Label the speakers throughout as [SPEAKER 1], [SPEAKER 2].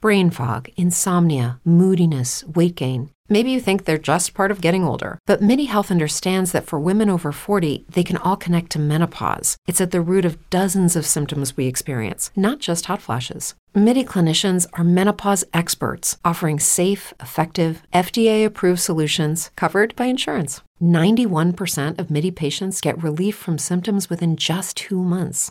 [SPEAKER 1] Brain fog, insomnia, moodiness, weight gain. Maybe you think they're just part of getting older, but MIDI Health understands that for women over 40, they can all connect to menopause. It's at the root of dozens of symptoms we experience, not just hot flashes. MIDI clinicians are menopause experts offering safe, effective, FDA approved solutions covered by insurance. 91% of MIDI patients get relief from symptoms within just two months.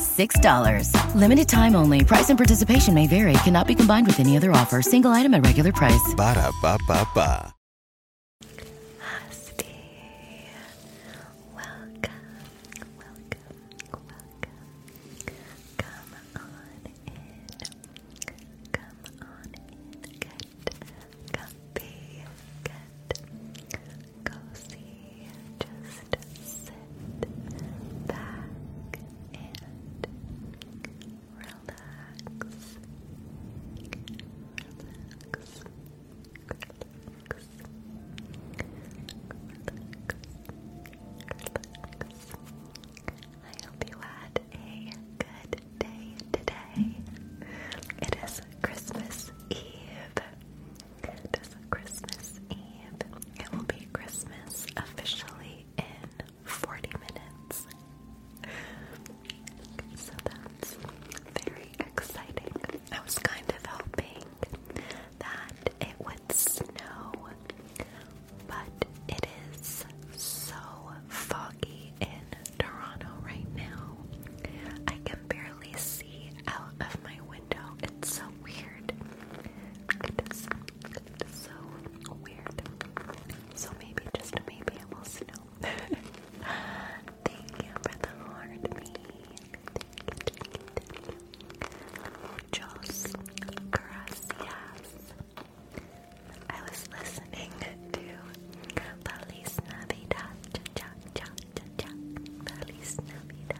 [SPEAKER 1] $6. Limited time only. Price and participation may vary. Cannot be combined with any other offer. Single item at regular price. Ba da ba ba ba. Hosty. Welcome. Welcome. Come on in. Come on in. Get comfy. Get cozy. Just sit back and relax. Relax. Relax. Relax. I hope you had a good day today. It is Christmas Eve. It is Christmas Eve. It will be Christmas officially in 40 minutes. So that's very exciting. I was kind of hoping that it would snow, but it is so foggy in Toronto right now. I can barely see out of my window. It's so weird. so weird. So maybe, just maybe, I will snow. thank you for the heart, me. Thank you, thank you, thank you. Jos I was listening to Feliz Navidad. Cha cha cha cha. Feliz Navidad.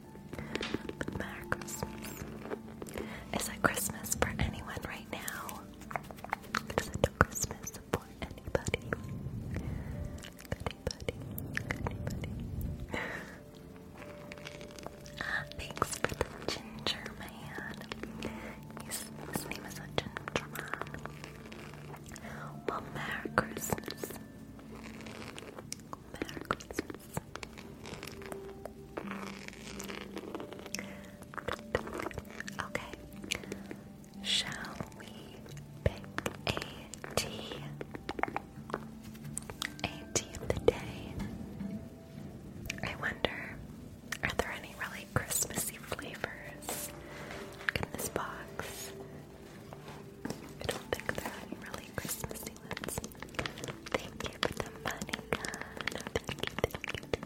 [SPEAKER 1] But Merry Christmas. Is it Christmas for anyone right now? Is it Christmas for anybody?
[SPEAKER 2] thanks for the ginger man. his name is a ginger man.
[SPEAKER 1] Well, Merry Christmas. Jingle Okay. Shall we pick a tea? A tea of the day. I wonder, are there any really Christmassy flavors in this box? I don't think they're any really Christmassy ones. Thank you for the money, God. Merry Christmas. Merry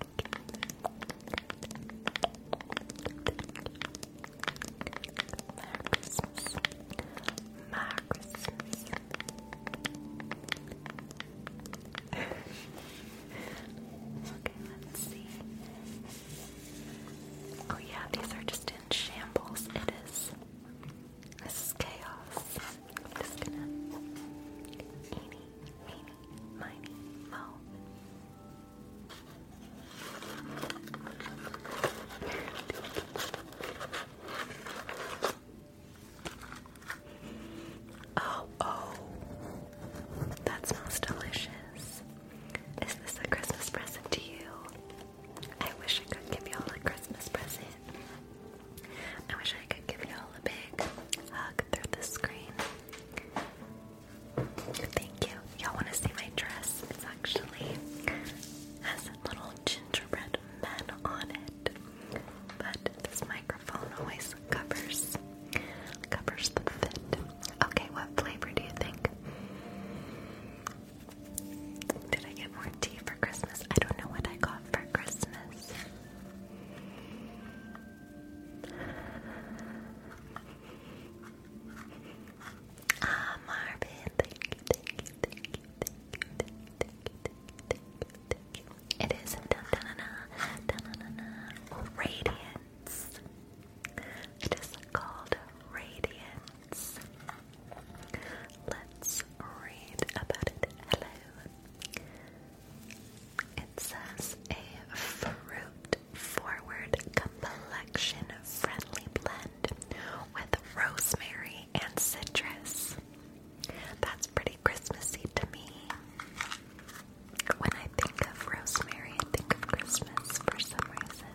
[SPEAKER 1] Christmas. okay, let's see. Oh yeah, these are just in shambles. It is this is chaos. Oh, oh. That smells delicious. Is this a Christmas present to you? I wish I could give y'all a Christmas present. I wish I could give y'all a big hug through the screen. Thank you. Y'all want to see my dress? It's actually has little gingerbread man on it. But this microphone always covers covers the fit. Okay, what flavor do you think? Did I get more tea for Christmas? I don't know what I got for Christmas. Ah, Marvin, thank you, thank you, thank you, thank you, thank you, thank you, thank you, thank you. It is dun dun na dun na na radiance. It is called radiance. Let's read about it. Hello. It says a fruit forward complexion friendly blend with rosemary and citrus. That's pretty Christmassy to me. When I think of rosemary, I think of Christmas for some reason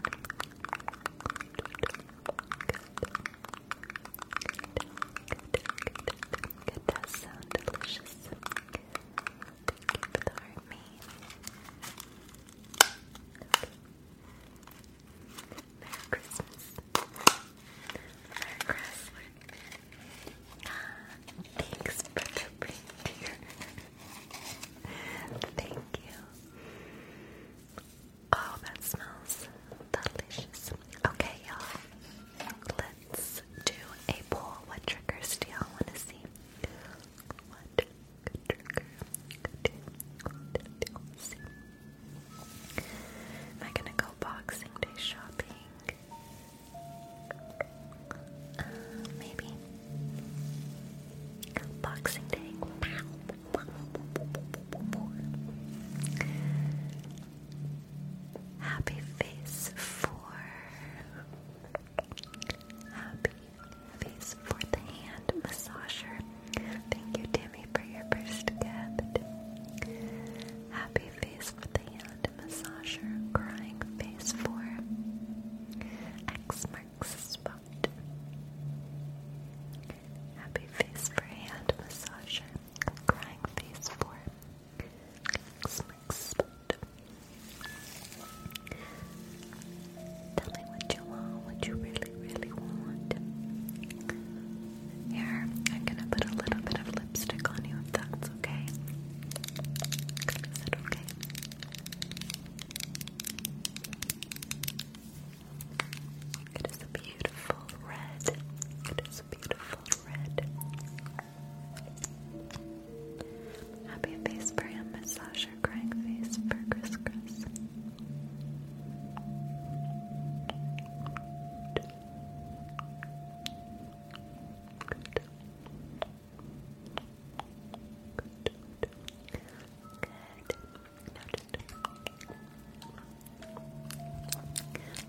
[SPEAKER 1] that sound delicious. Thank you for the heart, me. Merry Christmas. Merry Chrysler. Thanks for the Thank you. Oh, that smells delicious. Okay, y'all. Let's do a poll. What triggers do y'all want to see? What trigger do you want to see? Am I gonna go Boxing Day shopping? Uh, maybe Boxing Day. Happy face for happy face for the hand massager. Thank you, Tammy, for your first gift. Happy face for the hand massager. Crying face for X marks spot. Happy face for hand massager. Crying face for slick spot. Tell me what you want, what you really, really want. Here, I'm gonna put a little bit of lipstick on you that's okay. Is it okay? It is a beautiful red. It is a beautiful red. Happy face for him, massage your face for Chris Good. Good. Good.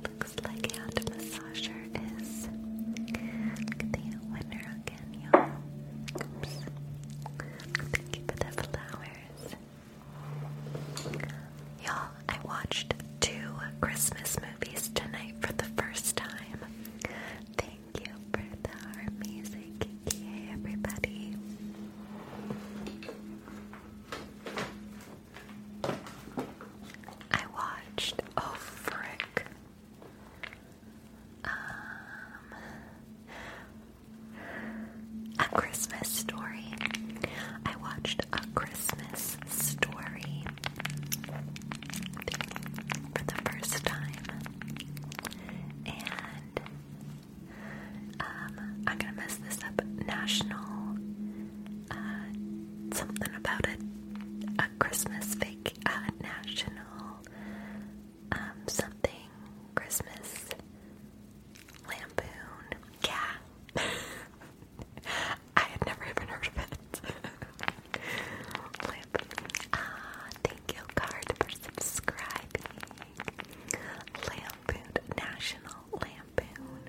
[SPEAKER 1] Looks like hand massager is the winner again, y'all. Oops. Thank you for the flowers. Y'all, I watched two Christmas movies tonight for the first time. Thank you for the amazing kiki, everybody. I watched. Oh, frick. Um, a Christmas story. I watched a Christmas story for the first time, and um, I'm gonna mess this up. National uh, something about it. A Christmas fake uh, national um, something Christmas lampoon. Yeah. I had never even heard of it. Lampoon.
[SPEAKER 2] Ah, thank you, Card, for subscribing. Lampoon, National Lampoon.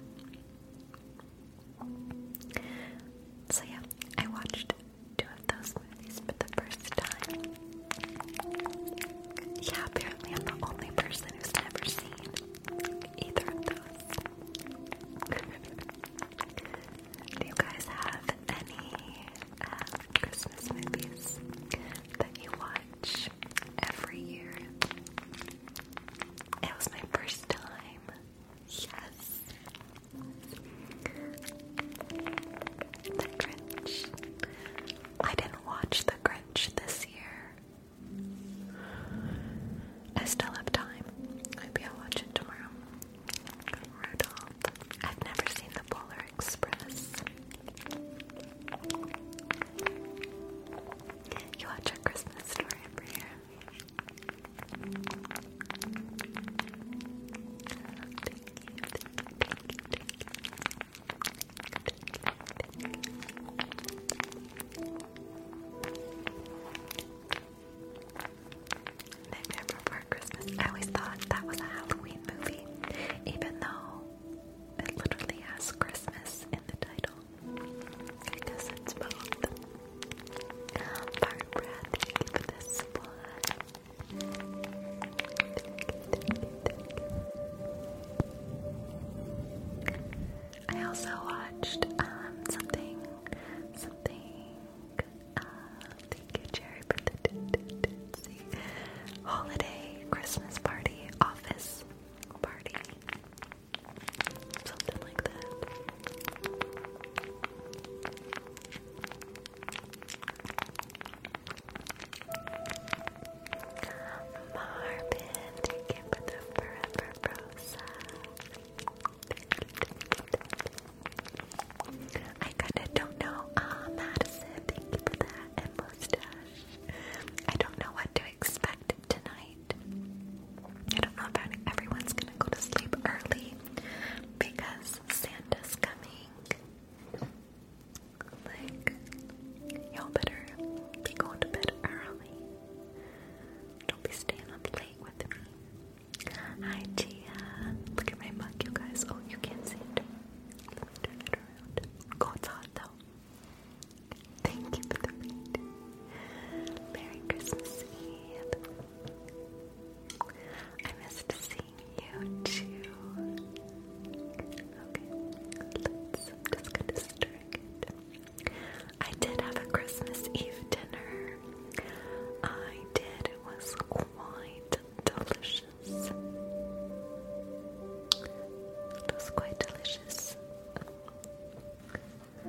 [SPEAKER 1] So, yeah, I watched two of those movies for the first time. Yeah, apparently I'm the only person who's never seen either of those. Do you guys have any uh, Christmas movies that you watch? college every year. It was my first time. Yes. The Grinch. I didn't watch The Grinch this year. I still have time. Maybe I'll watch it tomorrow. Rudolph. I've never seen The Polar Express. You watch a Christmas story every year. Nightmare Before Christmas. I always thought that was a Halloween movie, even though it literally has Christmas in the title. I guess it's both. Barbara, thank you one. I also watched um, something something uh, thank you Jerry for the holiday Christmas party office party. Something like that. Marvin, thank you for the forever rosa. I kinda don't know. Ah, uh, Madison, thank you for that. And I don't know what to expect tonight. I don't know if everyone's gonna go to sleep early because Santa's coming. Like, y'all better be going to bed early. Don't be staying up late with me. Hi, Tia. Look at my mug, you guys. Oh, you can't see it. turn it around. Oh, it's hot Thank you for the read. Merry Christmas Eve. I missed seeing you too. Okay, let's just gonna strike I did have a Christmas Eve dinner. I did. It was quite delicious. It was quite delicious.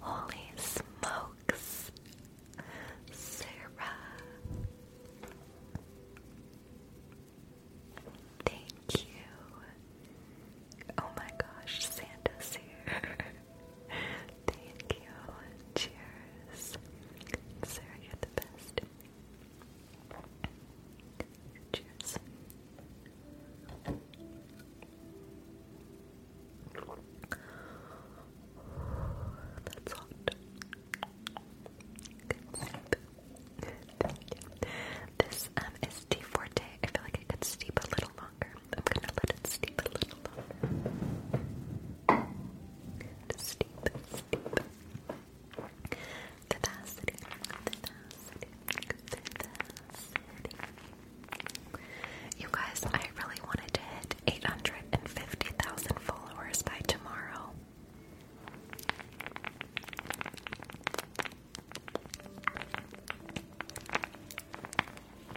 [SPEAKER 1] Holy smokes, Sarah. Thank you. Oh my gosh, Santa's here. Thank you. Cheers. Sarah, you're the best. Cheers. That's hot. Good sleep. Thank you. This um, is tea forte. I feel like I could sleep a little longer. I'm gonna let it steep a little longer. Steep, steep. You guys, I really wanted to hit 850,000 followers by tomorrow.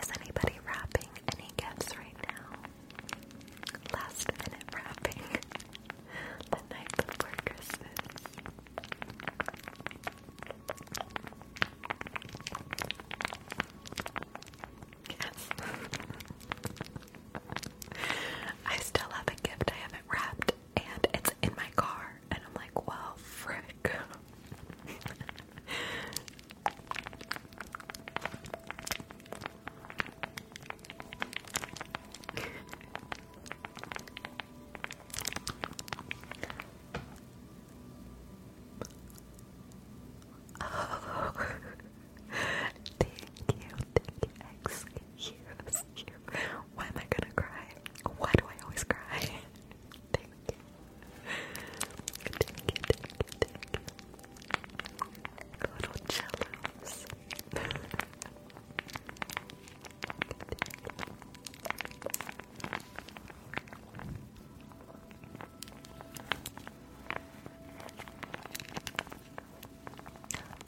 [SPEAKER 1] Is anybody wrapping any gifts right now? Last minute wrapping the night before Christmas. Yes. I still have a gift I haven't wrapped, and it's in my car, and I'm like, well, frick. oh. thank you, Why am I gonna cry? Why do I always cry? Little cellos.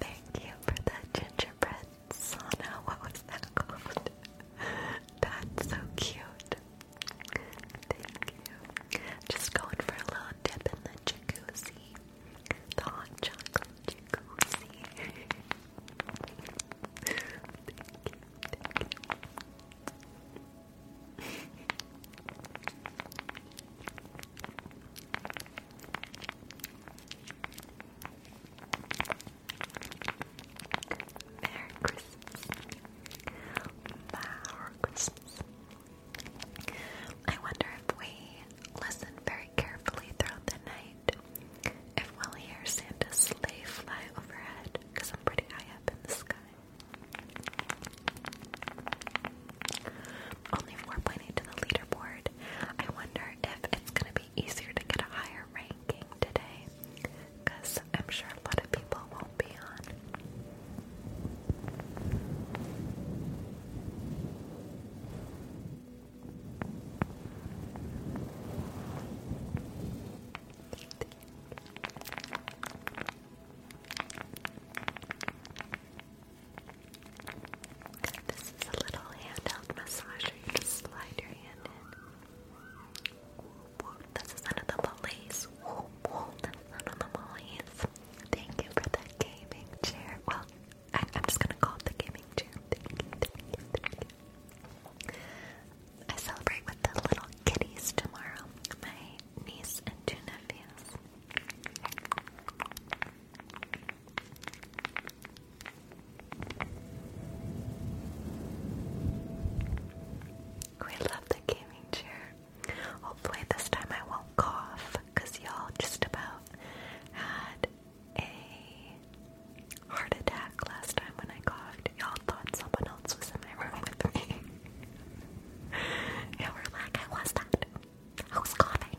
[SPEAKER 1] Thank you for that gingerbread sauna. What was that called? That's so cute. Thank you. Just going for a little dip in the jacuzzi. The hot chocolate jacuzzi. thank you, Merry Christmas. Merry Christmas. I wonder if we listen very carefully throughout the night if we'll hear Santa's sleigh fly overhead because I'm pretty high up in the sky. Only 4.8 to the leaderboard. I wonder if it's going to be easier to get a higher ranking today. I'm sure a lot of people won't be on this is a little handheld massager. You just slide your hand in. Whoop, whoop. This of the police. Whoop, whoop. This of the police. Thank you for the gaming chair. Well, I, am just gonna call it the gaming chair. I celebrate with the little kitties tomorrow. My niece and two nephews. We love the gaming chair. Hopefully, this time I won't cough because y'all just about had a heart attack last time when I coughed. Y'all thought someone else was in my room with me. and we're like, I was that. I was coughing.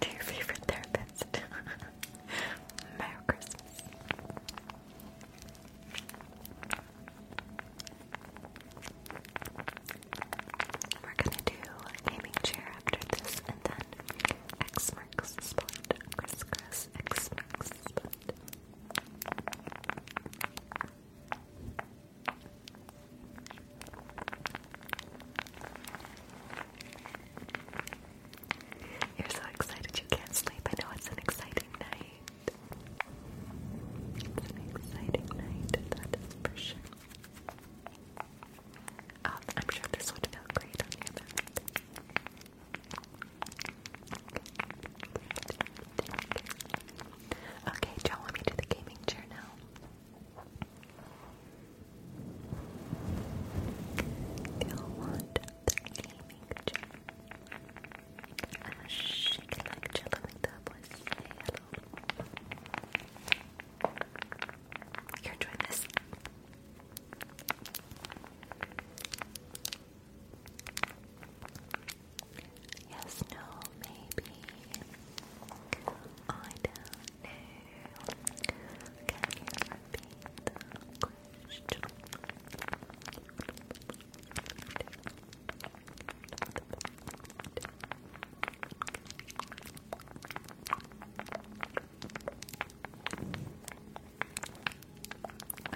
[SPEAKER 1] to your favorite therapist. Merry Christmas. We're gonna do gaming chair after this, and then X marks the spot. Crisscross X marks the spot. You're so excited you can't sleep. I know it's an exciting night. It's an exciting night, for sure. Um, I'm sure this would feel great on the other Okay, do y'all want me to the gaming chair now? You'll want the gaming chair. I'll shake like jello with the boys. You're enjoying this. Yes, no, maybe. I don't know. Can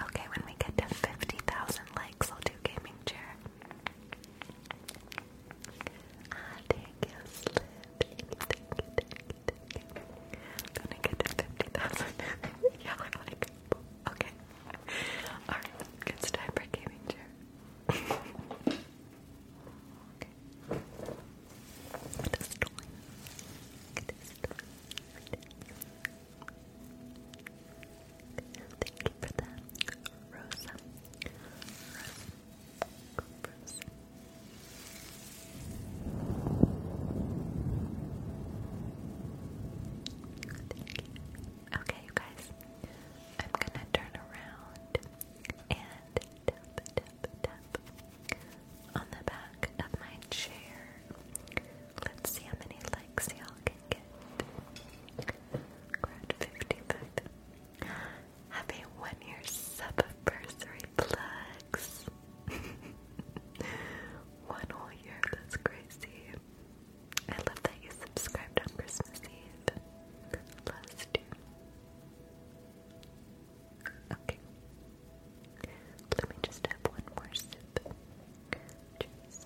[SPEAKER 1] Okay, when we get to 50,000 likes, I'll do gaming chair. Ah, thank you, Slip. gonna get to 50,000. yeah, like, okay. Alright, it's time for gaming chair. okay. It is time. Thank you for that. Rosa, Okay, you guys, I'm gonna turn around and tap, tap, tap on the back of my chair. Let's see how many likes y'all can get. We're Happy one year subversary plugs. one whole year, that's crazy. I love that you subscribed on Christmas Eve. Last year. Okay. Let me just have one more sip. Cheers.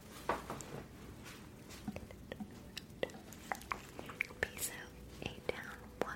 [SPEAKER 1] Peace out. Eight down. One.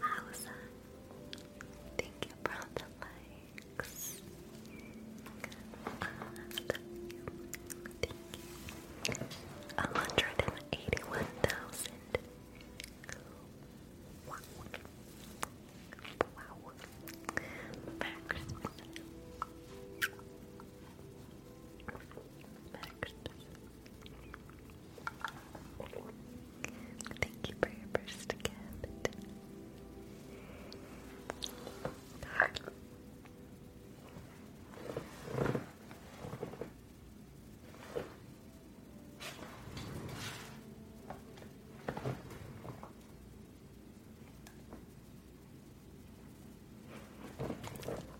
[SPEAKER 1] Alza, thank you for the likes. Thank you. 181,000. Wow. Merry Christmas. Thank you for your first gift.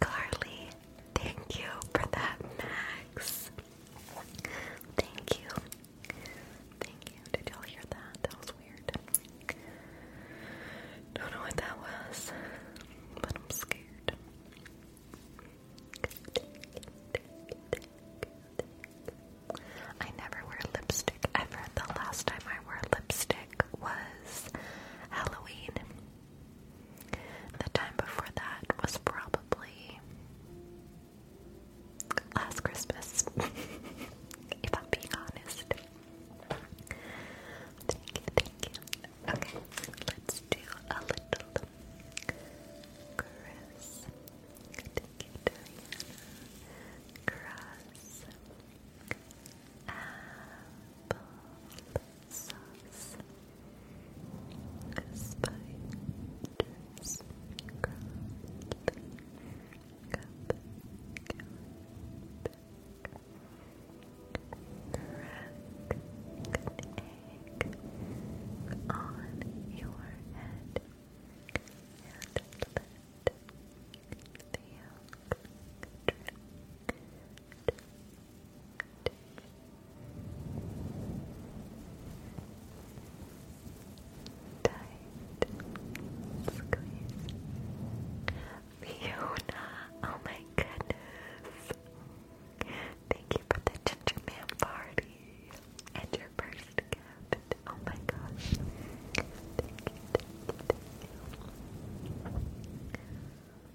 [SPEAKER 1] Carly, thank you for that, Max. Thank you. Thank you. Did y'all hear that? That was weird. Don't know what that was, but I'm scared. I never wear lipstick ever. The last time I wore lipstick was Halloween. The time before that was probably last Christmas, if I'm being honest. Thank you, Okay, let's do a little Cross. Applesauce. Spiders. Cup. Crack egg on your head and the yolk drip Tight oh, oh my goodness. Thank you for the ginger party and your first gift. Oh my gosh. thank you.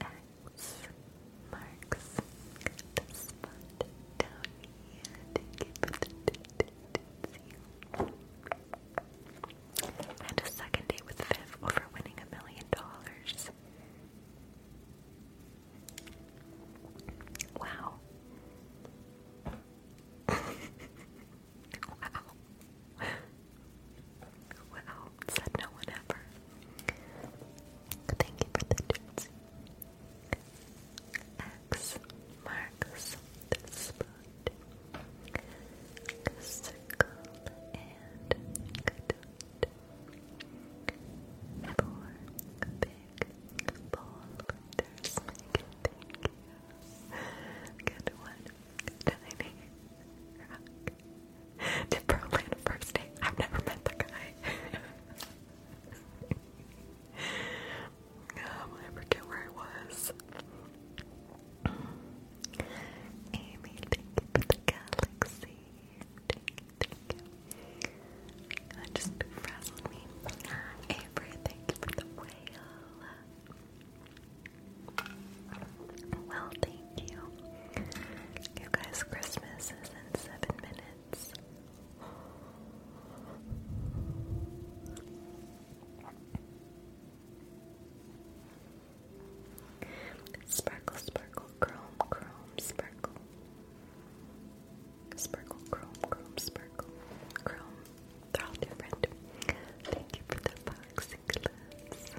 [SPEAKER 1] X marks the spot down here to give it you. And a second date with Viv over winning a million dollars. Wow wow. Wow. Said no one ever. Thank you for the tips. X marks the spot. Circle and dot. Four big boulders. Thank you. Good one. Tiny rock. Did Berlin first date? I've never met the guy. um, I forget where I was. Amy, thank you for the galaxy. Thank just frazzled me. Avery, for the whale. Well, thank you. You guys, Christmas is in seven minutes. Sparkle, sparkle, chrome, chrome, sparkle. Sparkle, Chrome, Chrome, Sparkle, Chrome. They're all different. Thank you for the boxing gloves.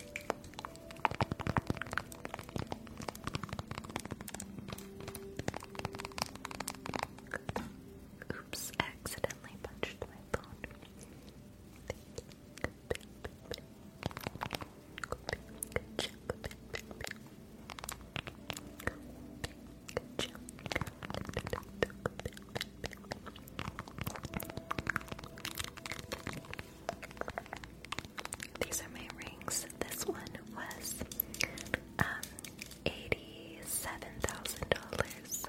[SPEAKER 1] Oops, accidentally punched my phone. These are my rings. This one was um eighty-seven thousand dollars.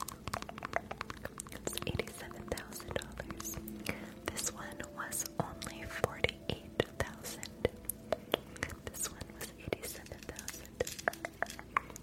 [SPEAKER 1] eighty-seven thousand dollars. This one was only forty-eight thousand. This one was eighty-seven thousand.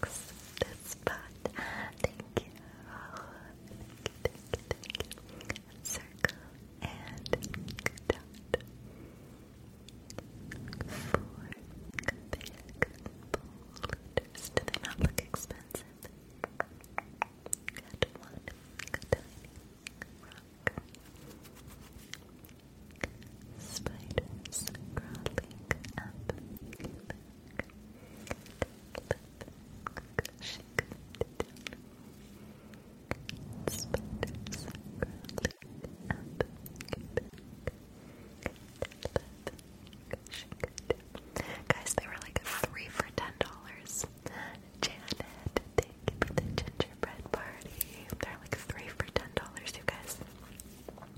[SPEAKER 1] works. This spot. Thank you. Circle and dot. Four Do they not look expensive? And one tiny rock. Spiders crawling up Guys, they were like three for ten dollars. Janet, thank the gingerbread party. They're like three for ten dollars, you guys.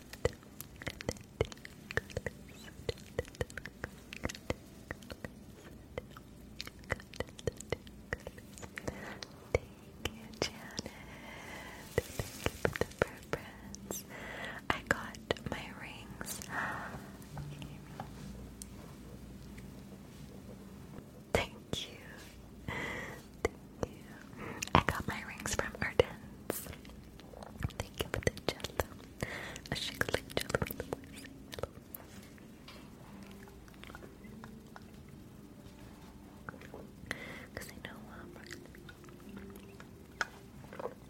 [SPEAKER 1] Thank you, Janet. Thank you for the preference. I got my rings. Thank you. Thank you. I got my rings from Ardennes. Thank you the jello. A shake like jello in the voice. Because I know uh,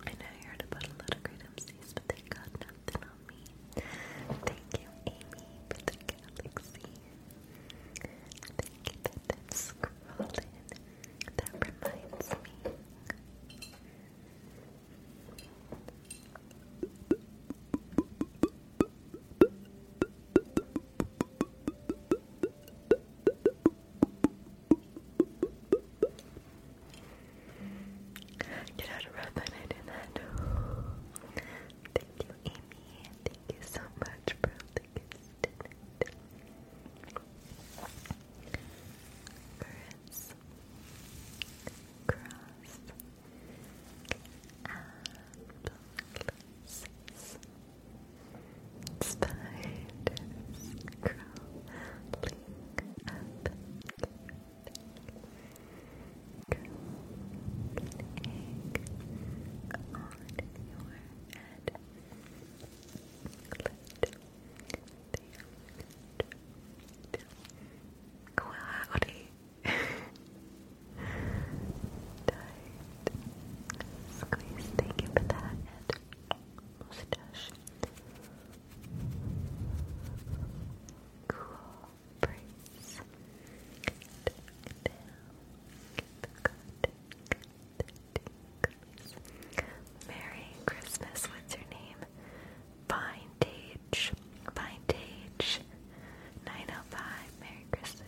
[SPEAKER 1] I know you heard about a lot of great MCs, but they got nothing on me. Thank you, Amy, for the galaxy. Thank you, been scrolling. That reminds me. Get out of breath when I do that. Thank you, Amy. Thank you so much, bro biggest in Spiders crawling up your egg on your head Cloudy, tight, squeeze. Thank you for mustache, cool breeze. good, good, Merry Christmas. What's your name?
[SPEAKER 2] Vintage. Vintage. 905. Merry Christmas.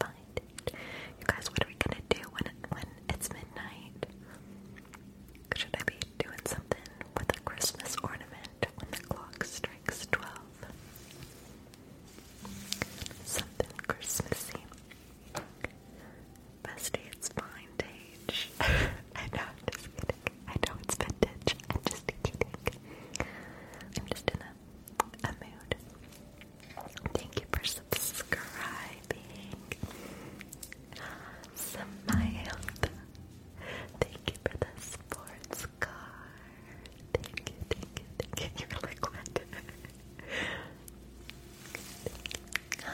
[SPEAKER 1] Vintage. You guys, what are we gonna do when when it's midnight? Should I be doing something with a Christmas ornament when the clock strikes twelve? Something Christmassy. Bestie, it's vintage. I know, I'm I know it's vintage. I'm just kidding. I'm just in a, mood. Thank you for subscribing. Smile. Thank you for the sports car. Thank you, thank you, thank you. You're liquid. Hi,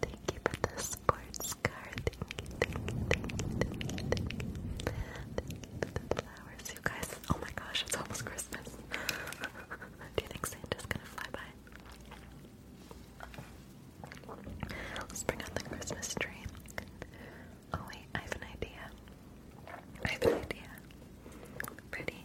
[SPEAKER 1] thank you for the sports car. thank you, thank you, thank you, thank you. Thank you for the flowers, you guys. Oh my gosh, it's almost Christmas. Do you think Santa's gonna fly by? Let's bring out the Christmas tree. Oh wait, I have an idea. I have an idea. Ready?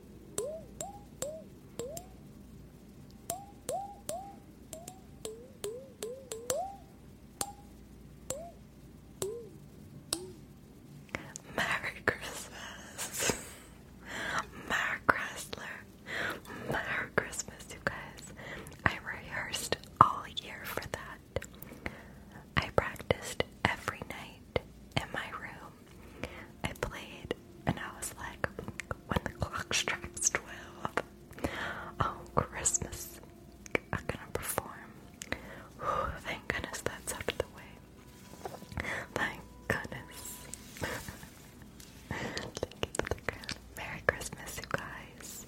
[SPEAKER 1] Merry Christmas. Merry Chrysler. Merry Christmas, you guys. I rehearsed all year for that. I practiced every night in my room. I played and I was like, when the clock strikes 12 on oh, Christmas, I'm gonna perform. thank goodness that's out of the way. Thank goodness. Merry Christmas, you guys.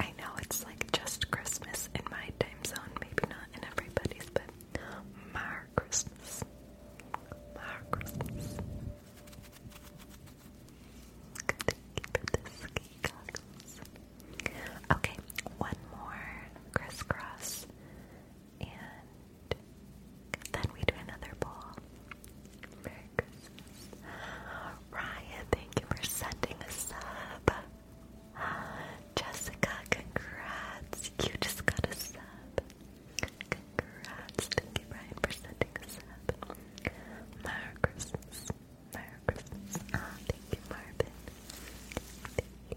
[SPEAKER 1] I know it's like just Christmas in my time zone, maybe not in everybody's, but. Merry
[SPEAKER 2] Merry Christmas. Merry Christmas. Thank you for the ski Okay, one
[SPEAKER 1] more crisscross, and then we do another bowl. Merry Christmas. Ryan, thank you for sending a sub. Jessica, congrats. You just got a sub. Congrats. Thank you, Brian, for sending a sub. Merry Christmas. Merry Christmas. Oh, thank you, Marvin. Thank you.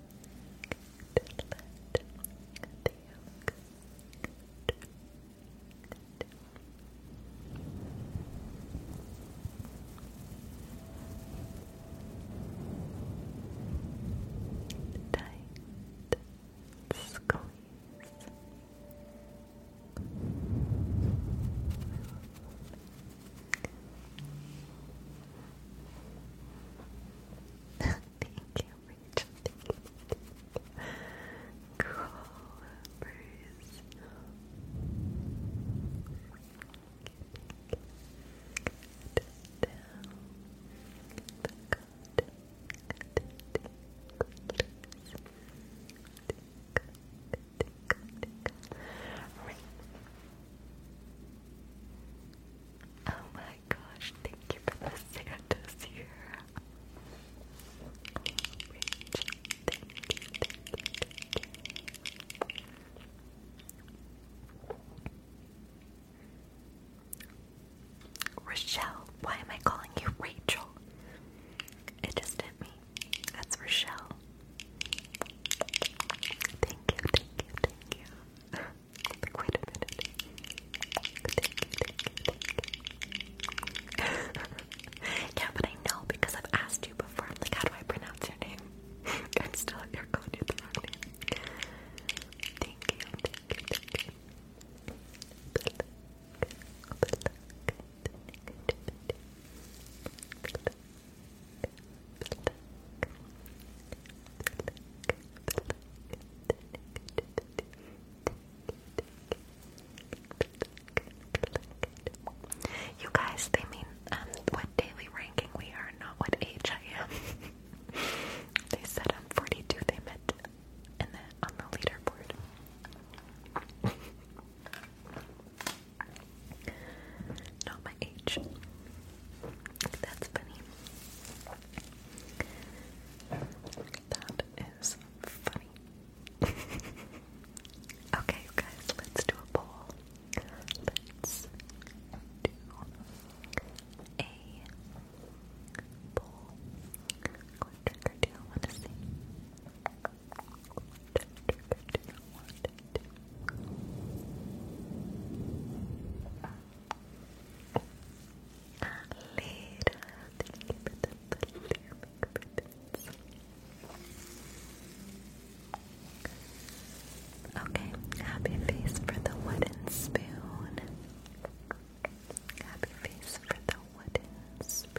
[SPEAKER 1] Tight squeeze. Tight squeeze. Thank you, Rachel. cool, Bruce. Right. Oh my gosh, thank you for the Santa's here. thank you, thank you, thank you. Rochelle, why am I calling you Rachel? It just hit me. That's Rochelle. Thank you, thank you, thank you. Thank you, yeah, but I know because I've asked you before. I'm like, how do I pronounce your name? I'm still you going to the wrong name. You guys, they mean um, what daily ranking we are, not what age I am. they said I'm 42, they meant and then on the leaderboard. not my age. That's funny. That is funny. okay, guys, let's do a poll. Let's
[SPEAKER 2] do a poll. What do you want to see? Okay, happy face for the wooden spoon. Happy face for the wooden spoon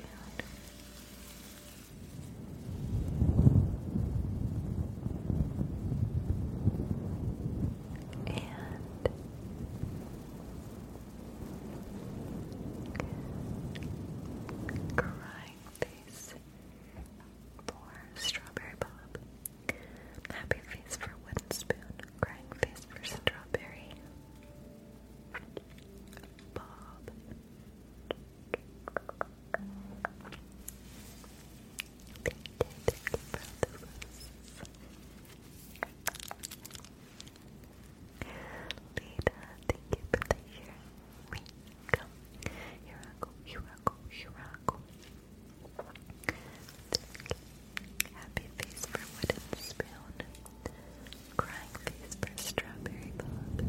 [SPEAKER 2] and crying face for strawberry bob. Happy face for wooden spoon. Crying face for strawberry bob. Lita, thank you for the year. We come. Here I go, here I go, here I go. Happy face for wooden spoon. Crying face for strawberry bob.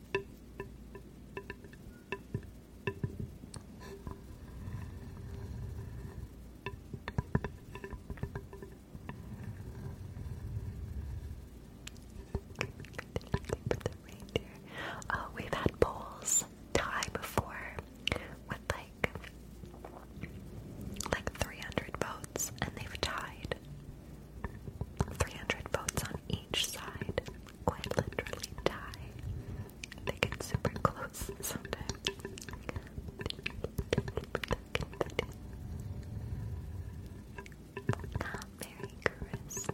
[SPEAKER 1] Oh, we've had bowls tie before with like like 300 votes, and they've tied. 300 votes on each side quite literally die. They get super
[SPEAKER 2] close sometimes. Merry Christmas.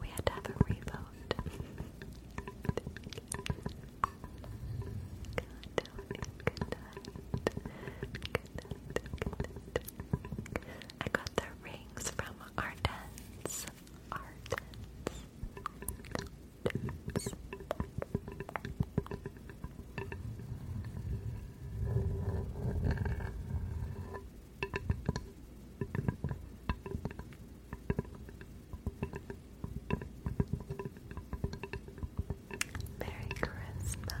[SPEAKER 2] We had to have a reload. I got the rings from Ardennes. Ardennes. Merry Christmas.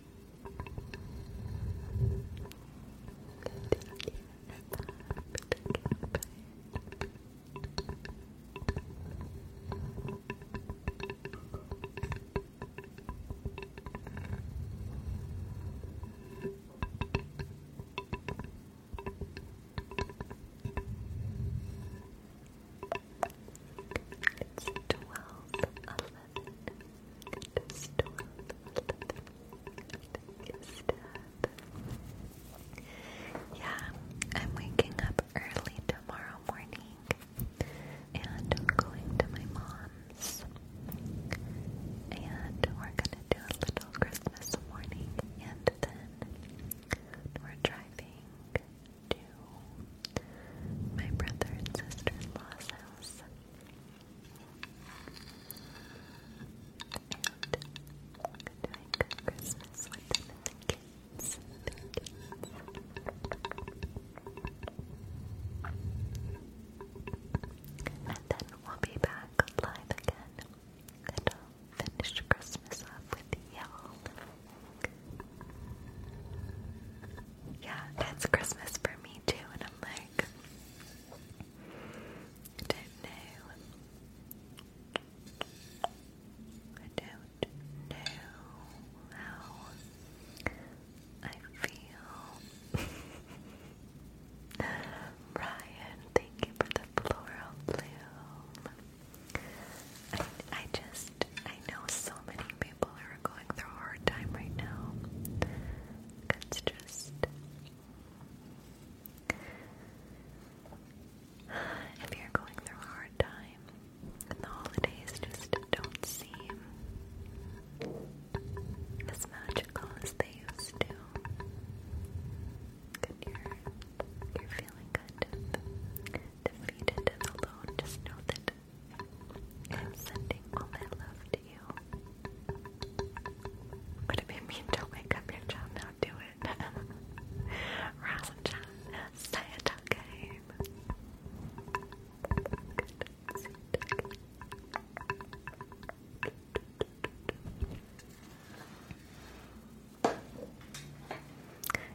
[SPEAKER 1] It's twelve eleven. Yeah, I'm waking up early tomorrow morning and I'm going to my mom's. And we're gonna do a little Christmas morning and then we're driving to my brother and sister's house good Christmas with the kids. And then we'll be back live again. And finish Christmas off with y'all yeah, it's Christmas for me too, and I'm like, I don't know. I don't know how I feel. Ryan, thank you for the
[SPEAKER 2] floral bloom. I, I just, I know so many people who are going through a hard time right now. It's just. If you're going through a hard time, and the holidays just don't seem
[SPEAKER 1] as magical as they used to. And you're, you're feeling kind of defeated and alone. Just know that I'm sending all my love to you. Would it be mean to wake up your child now? Do it. Rasenja, Sayatake.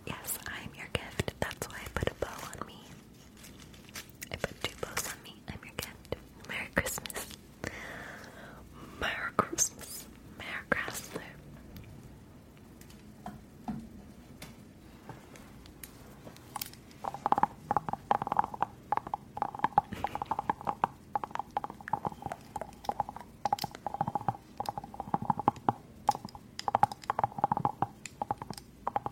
[SPEAKER 1] Yes, I'm your gift. That's why I put a bow on me. I put two bows on me. I'm your cat. Merry Christmas. Merry Christmas. Merry Christmas.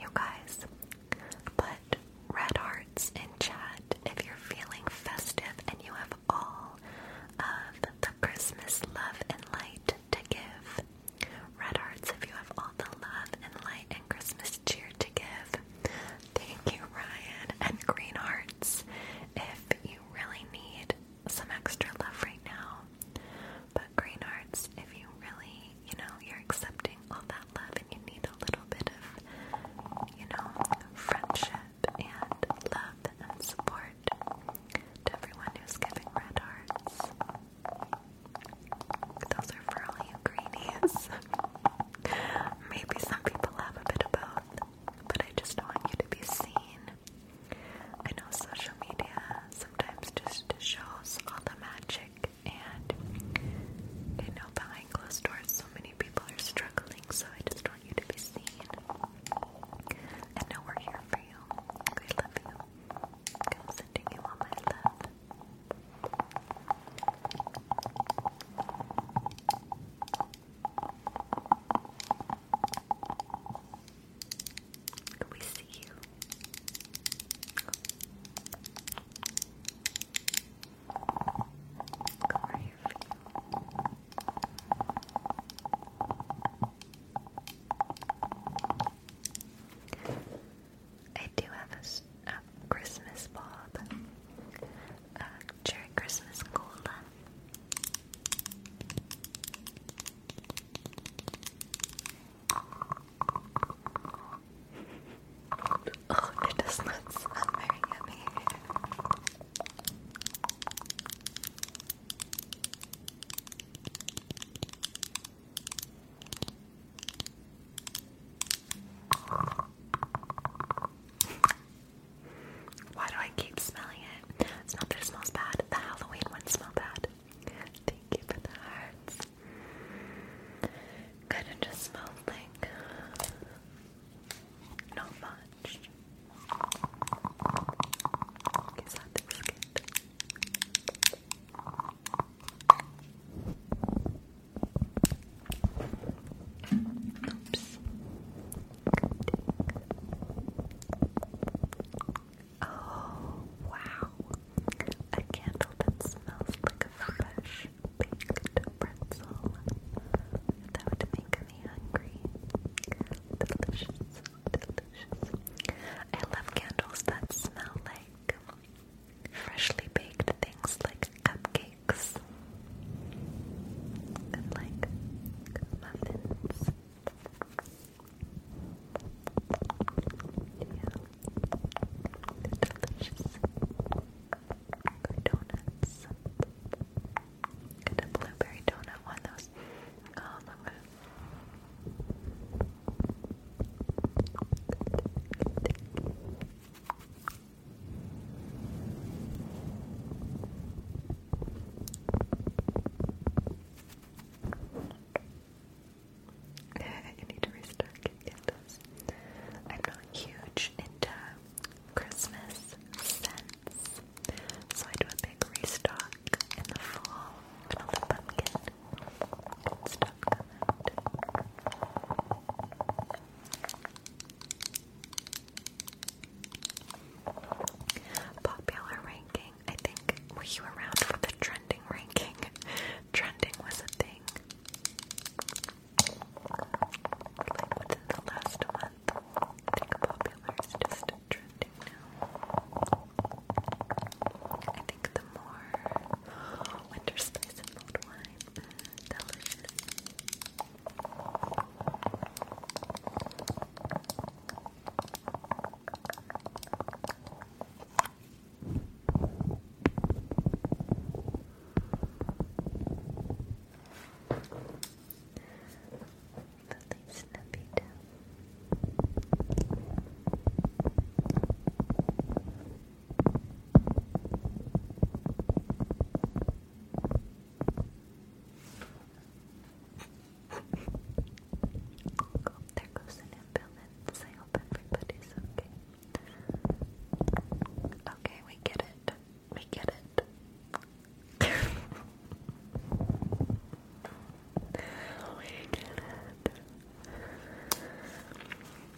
[SPEAKER 1] You guys, put red hearts in chat if you're feeling festive and you have all of the Christmas love and light to give. Red hearts, if you have all the love and light and Christmas cheer to give. Thank you, Ryan. And green hearts, if you really need some extra love right now. But green hearts, if you really, you know, you're accepting all that love and you need a little bit of, you know, friendship and love
[SPEAKER 2] and support to everyone who's giving red hearts. Those are for all you greenies. Maybe some
[SPEAKER 1] people have a bit of both, but I just want you to be seen. I know social media sometimes just shows all the magic, and I know behind closed doors so many people are struggling, so I just want you to be seen. And know we're here for you. We love you. I'm sending you all my love. Can we see you? Come right here for you. I do have a, Christmas bob, a uh, cherry Christmas cola. Oh, it does very yummy. Why do I keep smelling it? It's not that it smells bad. The Halloween one smelled bad. Thank you for the hearts. Good, it just smells like not much. Oops. Oh, wow. A candle that smells like a fresh baked pretzel. That would make me hungry. Delicious, delicious. I love candles that smell like freshly baked
[SPEAKER 2] things like cupcakes and like muffins. Yeah, delicious. donuts. Get a blueberry donut one. Those. Um, i I need to restart I'm not huge into Christmas scents, so I do a big restock in the fall with all the pumpkins Popular ranking. I think were you around for the trending ranking? trending was a thing. Like within the last month. I think popular is just trending now. I think the more winter spice and wine, the
[SPEAKER 1] delicious. Lily Snippy Down. Oh, there goes an ambulance. I hope everybody's okay. Okay, we get it. We get it. we get it.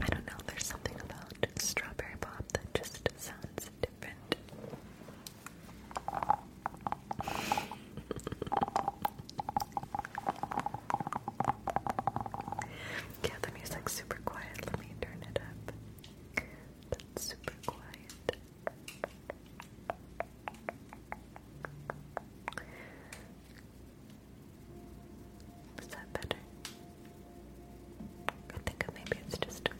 [SPEAKER 1] I don't know, there's something about strawberry pop that just sounds different. yeah, the music's super quiet. Let me turn it up. That's super quiet. Is that better? I think maybe it's just a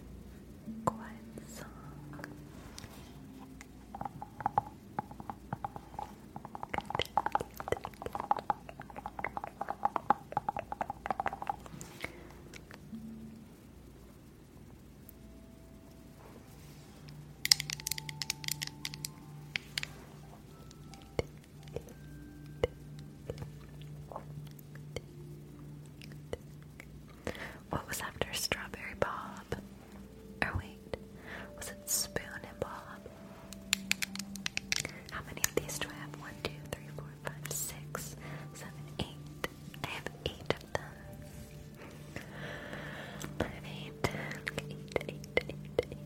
[SPEAKER 1] quiet song. What was after Strawberry Bob? Or wait, was it Spoon and Bob? How many of these do I have? One, two, three, four, five, six, seven, eight. I have eight of them. I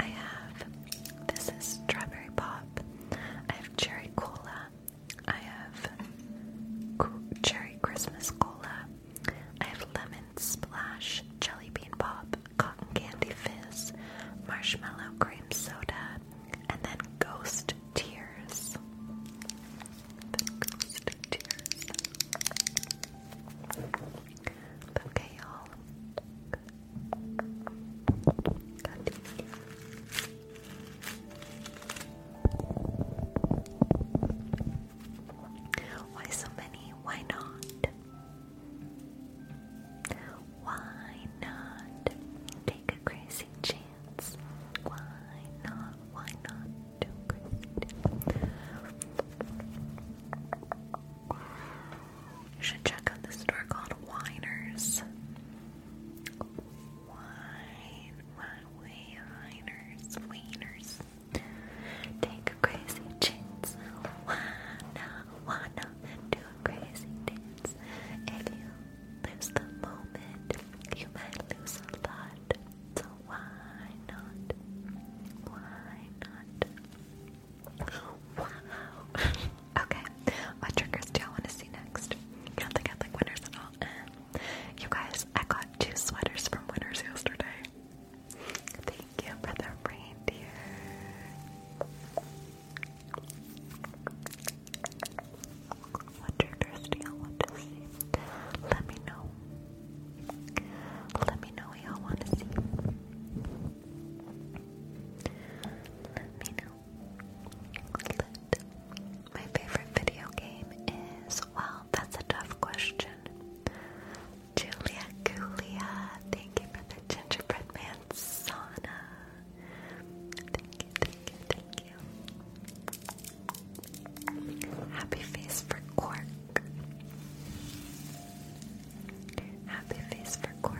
[SPEAKER 1] I have this is strawberry pop. I have cherry cola. I have cherry Christmas cola. I have lemon splash, jelly bean pop, cotton candy fizz, marshmallow cream soda, and then ghost tears. Okay, y'all. Why so many? Why not? Why not take a crazy chance? science. Why not? Why not do great? You should check out this store called Winers. Wine, wine, winers, wieners. Take a crazy chance. Wanna, wanna do a crazy dance. If there's the moment you might lose a lot, so why not? Why not? Wow. okay, what triggers do y'all want to see next? I don't think I like winners at all. You guys, I got two sweaters from winners yesterday. Thank you for the reindeer. What do y'all want to see? Let me know. Let me know y'all want to see. Let me know. My favorite video game is, well, that's a tough question. Julia Gulia, thank you for the gingerbread man sauna. Happy face for Quark. Happy face for Quark.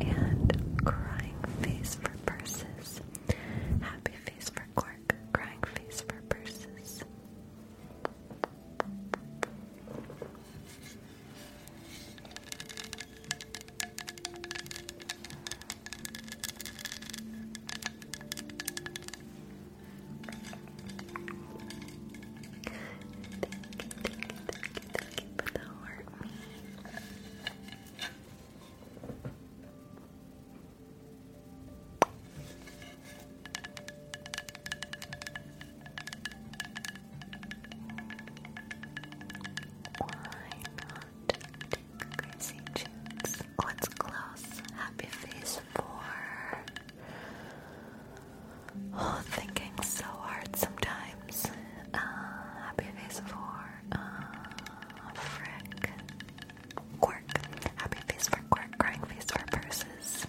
[SPEAKER 1] And crying face for purses. Happy face for Quark. Crying face for purses thank you for the heart. Why not? crazy cheeks. What's close? Happy face four. Oh, thinking so hard sometimes. Uh, happy face four. Uh, frick. Quirk. Happy face for quirk. Crying face for purses.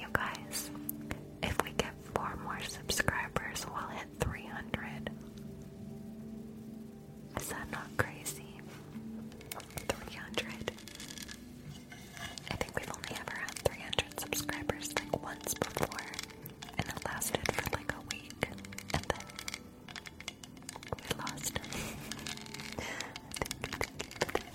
[SPEAKER 1] You guys, if we get four more subscribers, we'll hit 300. Is that not crazy? 300. I think we've only ever had 300 subscribers like once before, and it lasted for like a week, and then we lost. thank you, thank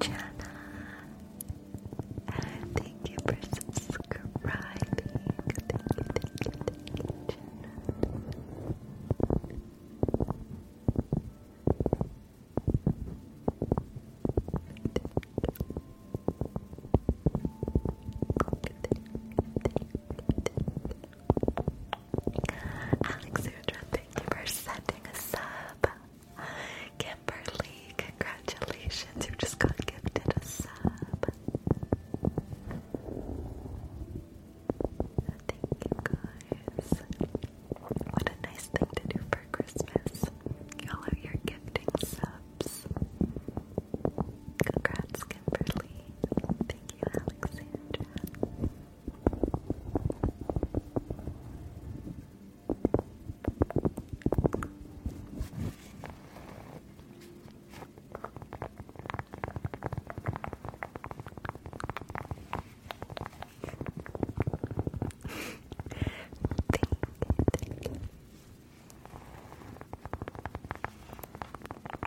[SPEAKER 1] Jana, thank you for subscribing. Thank you, thank you, thank you, Jana. Thank you. Alexandra, thank you for sending a sub. Kimberly, congratulations, you just got gifted a sub. Thank you guys. What a nice thing to do for Christmas. All of your gifting subs. Congrats, Kimberly. Thank you, Alexandra. thank you,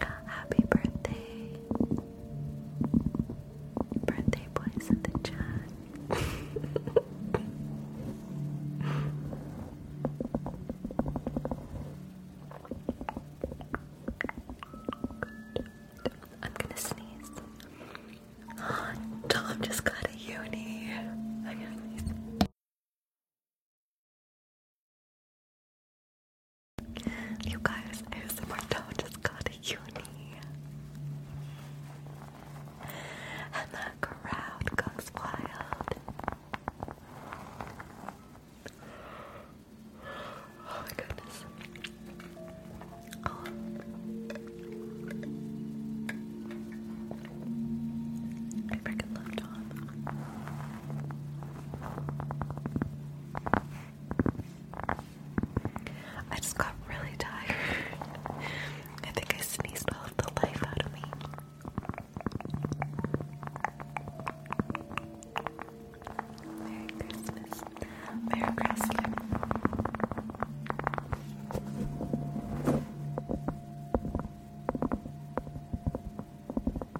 [SPEAKER 2] Happy birthday. Birthday boys in the chat. I'm gonna sneeze. Tom just got a uni. You guys, ASMR just got a uni.
[SPEAKER 1] And the crowd goes wild. Oh my goodness. Oh. I freaking love Tom. I just got really tired. I think I sneezed all of the life out of me. Merry Christmas. Merry Christmas.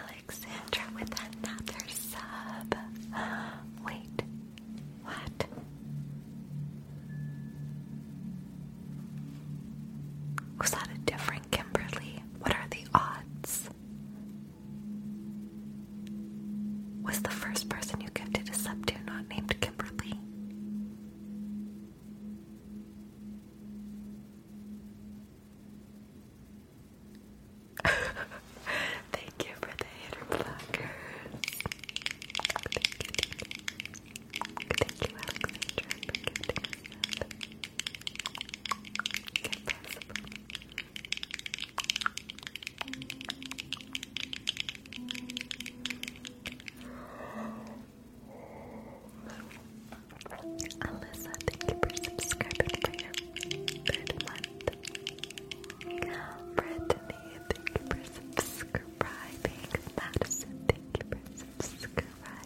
[SPEAKER 1] Alexandra with another sub. Wait, what? Was that a different Kimberly? What are the odds? Was the first person you gifted a sub to not named Kimberly? Thank you for the hater Thank you, thank you for subscribing for Brittany, thank you for subscribing. Madison, thank you for subscribing.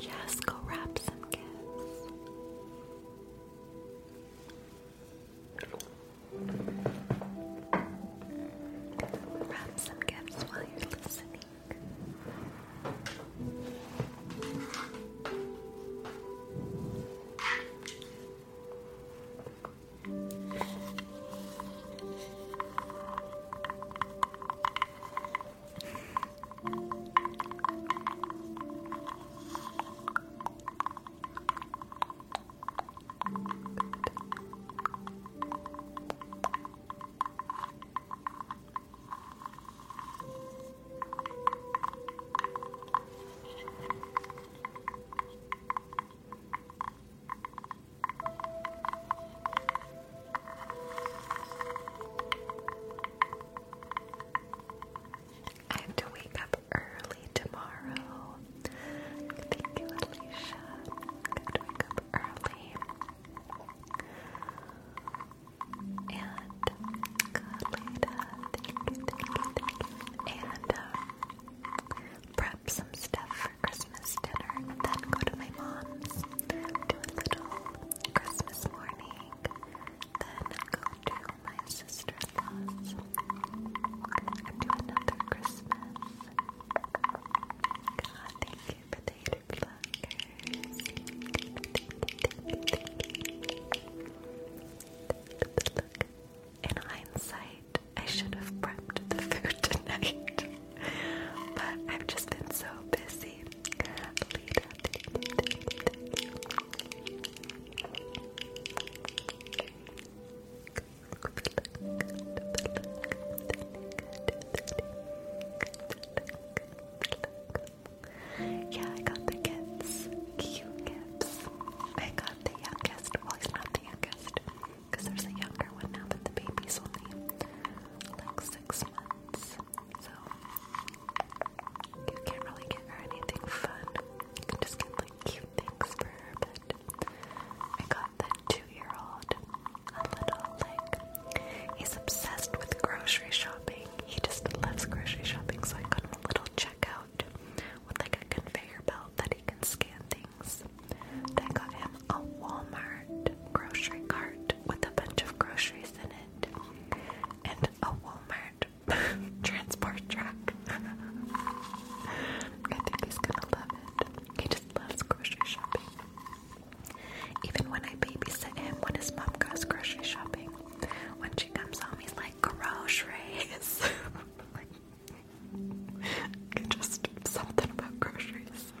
[SPEAKER 1] Just go wrap some gifts. Wrap some gifts while you're listening. I have to wake up early tomorrow. Thank you, Alicia. Good wake up early. And Carlita, thank you, thank you, thank you. And uh, prep some stuff for Christmas dinner then go to my mom's. Do a little Christmas morning. Then go to my sister's Christmas. To another Christmas. God, thank you, potato pluckers. Thank you, thank hindsight, I should have prepped the food tonight, but I've just been so busy. Yeah, I got the kids. Cute kids. I got the youngest. Well, he's not the youngest. there's a younger one now, but the baby's only like six months. So you can't really get her anything fun. You can just get like cute things for her, but I got the two-year-old a little he's obsessed with grocery shopping. He just loves grocery shopping, so I got him a little checkout with like a conveyor belt that he can scan things. And I got him a Walmart grocery cart with a bunch of groceries in it. And a Walmart transport truck. I think he's gonna love it. He just loves grocery shopping. Even when I babysit him when his mom goes grocery shopping, when she comes home, he's like, groceries. like, just something about groceries.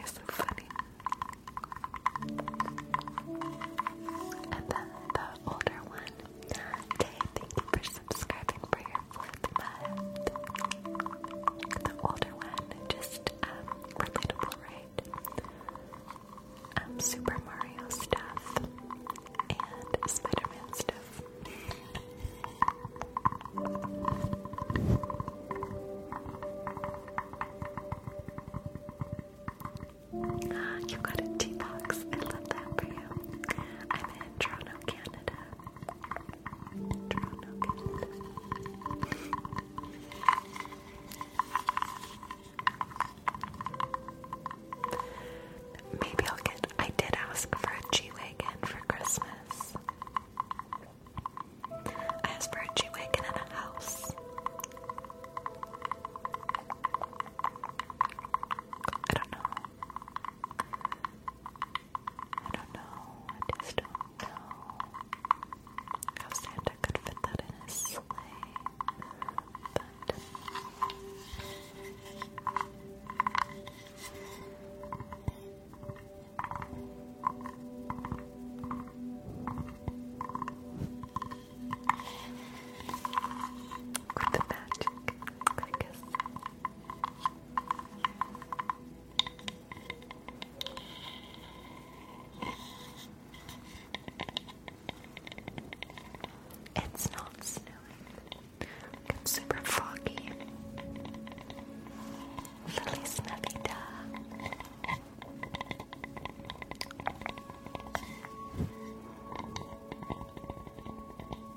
[SPEAKER 1] He's so funny. And then the older one Tay, thank you for subscribing for your fourth month. The older one, just um, relatable, um, Super Mario stuff and spider stuff. Ah, you got a tea box. I love that for you. I'm Toronto, Canada. Toronto, Canada. Maybe I'll get. I did ask for a G wagon for Christmas. I asked for a G wagon and a house. I don't know. I don't know. I just don't know how Santa could fit that in his sleigh. with the magic, I guess. It's not snowing. It's super foggy.
[SPEAKER 2] Feliz Navidad.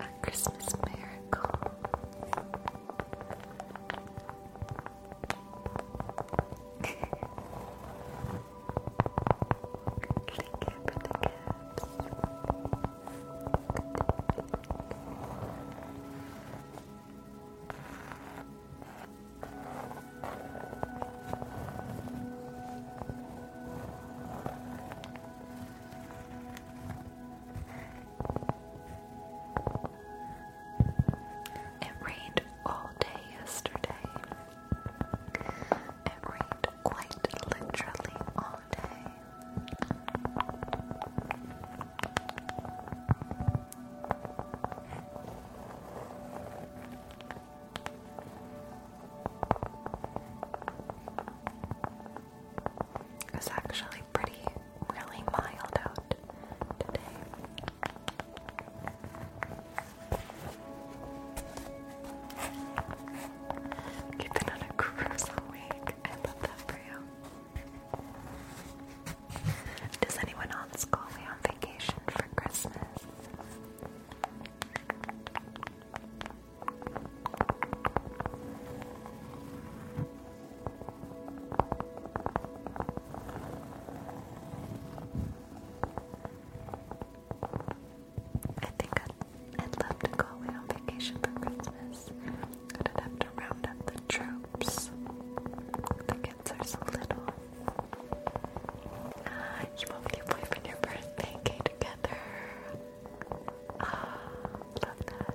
[SPEAKER 2] A Christmas miracle. Thank you for the gifts.
[SPEAKER 1] It rained all day yesterday. It rained quite literally all day. It was actually pretty, really mild out today.
[SPEAKER 2] You've on a cruise all week. I love that for you.
[SPEAKER 1] Does anyone else go away on vacation for Christmas? I think I'd, love to go away on vacation for Christmas. But i have to round up the troops. The kids are so little.
[SPEAKER 2] Ah, you won't be boyfriend your birthday together. Ah, love that.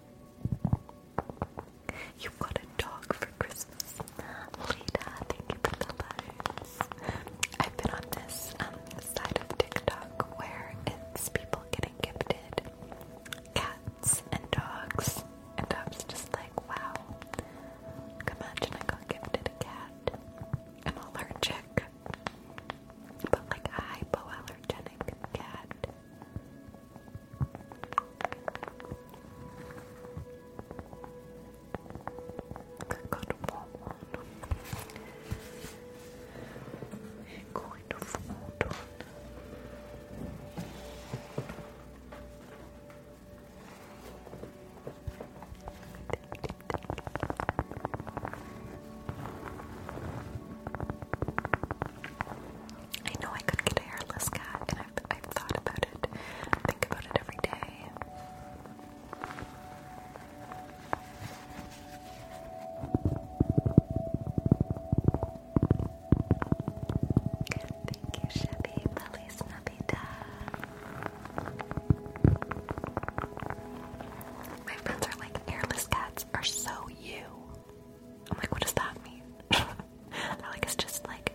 [SPEAKER 1] You got a dog for Christmas. Lita, thank you for the letters. I've been on this um, side of TikTok where it's people getting gifted cats and dogs. And I was just like, wow. Imagine I got gifted a cat. I'm allergic. But like a hypoallergenic cat. I got a warm one. going to fold on. I know I could get a hairless cat, and I've, thought about it. I think about it every day. Thank you, Chevy. Feliz Navidad. My friends are like, hairless cats are so you. I'm like, what does that mean? They're like, it's just like,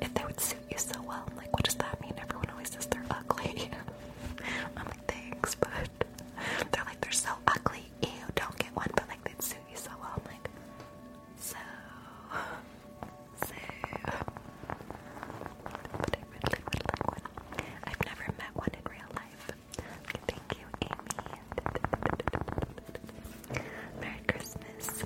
[SPEAKER 1] if they would suit you so well, I'm like, what does that mean? Everyone always says they're ugly. I'm like, thanks, but they're like, they're so ugly, ew, don't get one, but like, they'd suit you so well. I'm like, so, so, I really would like one. I've never met one in real life. Thank you, Amy. Merry Christmas.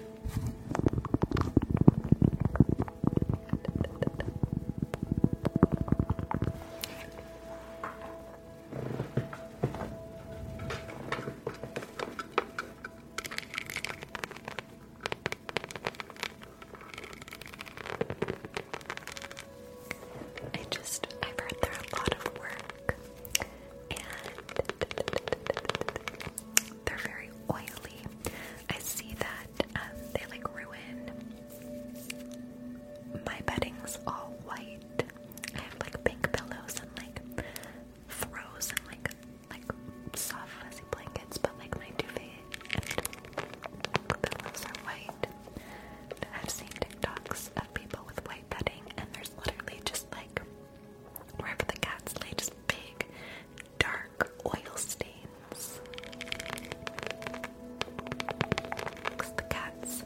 [SPEAKER 1] I just, I've heard they a lot of work and they're very oily. I see that um, they like ruin my bedding's all white. I have like pink pillows and like throws and like like soft fuzzy blankets, but like my duvet and pillows are white. I've seen TikToks people with white bedding, and there's literally just like wherever the cats lay, just big, dark oil stains. the cats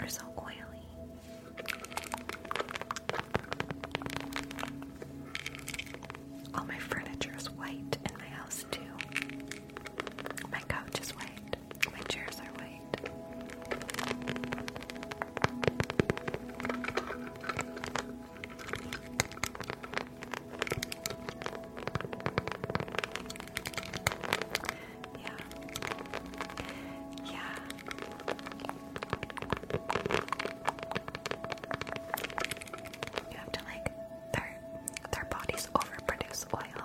[SPEAKER 1] are so oily. All my furniture is white in my house, too. My couch is white. My chairs are white. Yeah. Yeah. You have to like their their bodies overproduce oil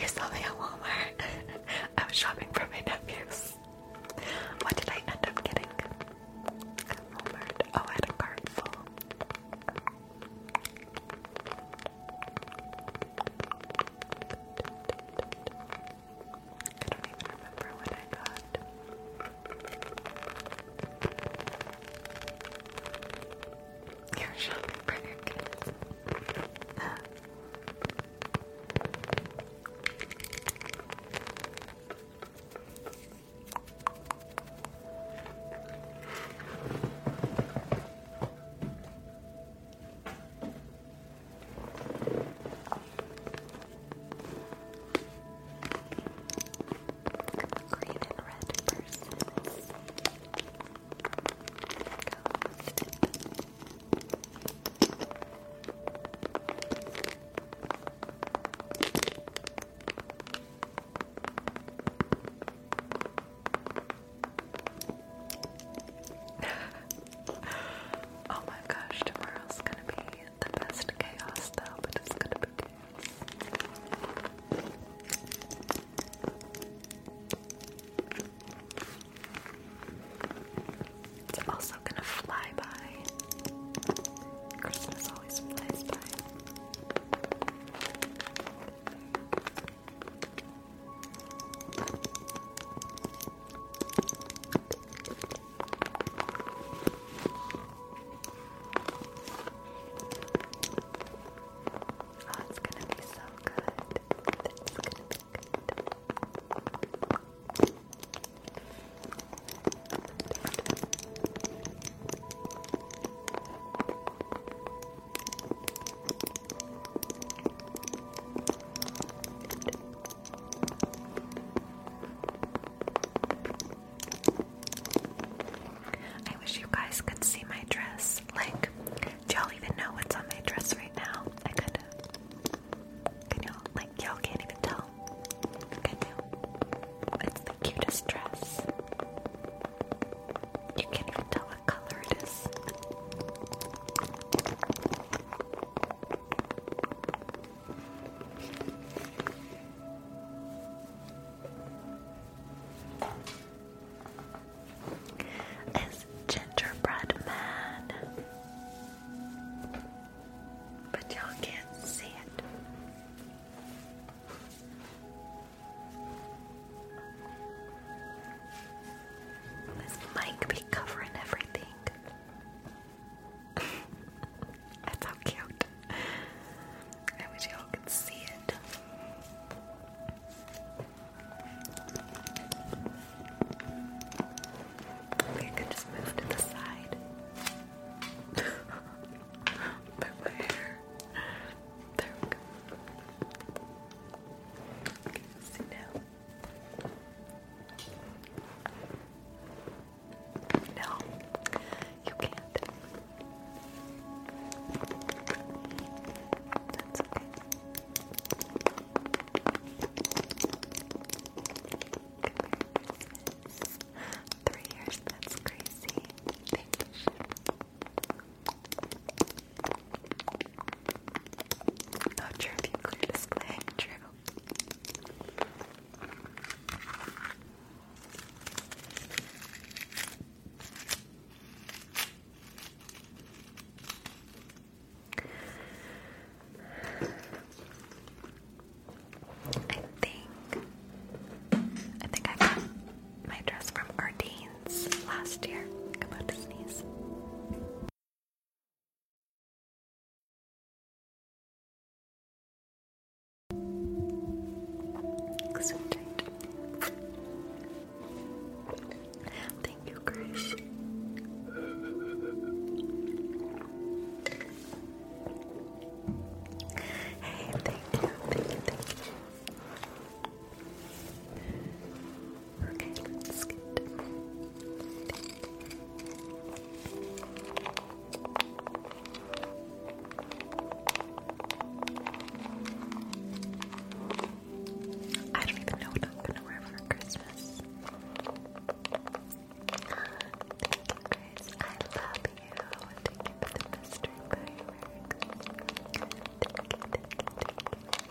[SPEAKER 1] You saw me at Walmart. I was shopping for my nephews. What did I end up getting Walmart? Oh, I had a cart full. I don't remember what I got. You're shopping for Green and red purses. Oh my gosh, tomorrow's gonna be the best chaos though, but it's gonna be It's also gonna fly by. Christmas always flies by. Oh, it's gonna be so good. It's gonna be good. I wish you guys could see my dress. Like, do y'all even know what's on my dress right now? I could. Can y'all, like, y'all can't even tell. Can you? It's the cutest dress. You can't even tell what color it is is Gingerbread Man, but y'all can't see it. This mic be covering everything. That's how cute. I wish y'all could see it. Maybe I just move to the side. but my hair. There we see now. No, you can't. Three years, that's crazy. Thank you. Not sure if you clear display, true. I think I think I got my dress from Ardennes last year. Come on sneeze. So Thank you, Chris. Hey, thank you, thank you, thank you. Okay, let's get I don't even know what I'm gonna wear for Christmas. I love you. Thank you for the mystery fireworks. Thank you, thank you, thank you.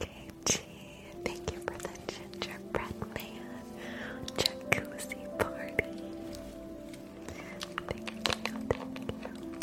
[SPEAKER 1] KG, thank you for the gingerbread man jacuzzi party. thank you.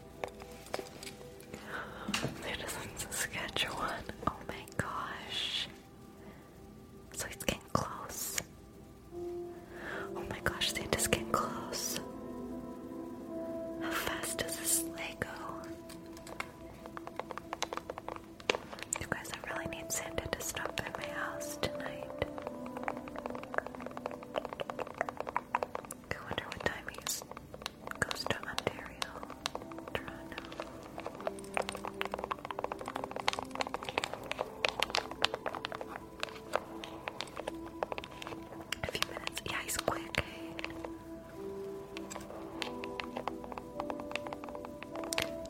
[SPEAKER 1] Citizens Saskatchewan. Oh my gosh. So getting close. Oh my gosh, they just getting close. How fast does the sleigh go? You guys, I really need Santa to stop at my house tonight. I wonder what time he goes to Ontario, A few minutes. Yeah, he's quick.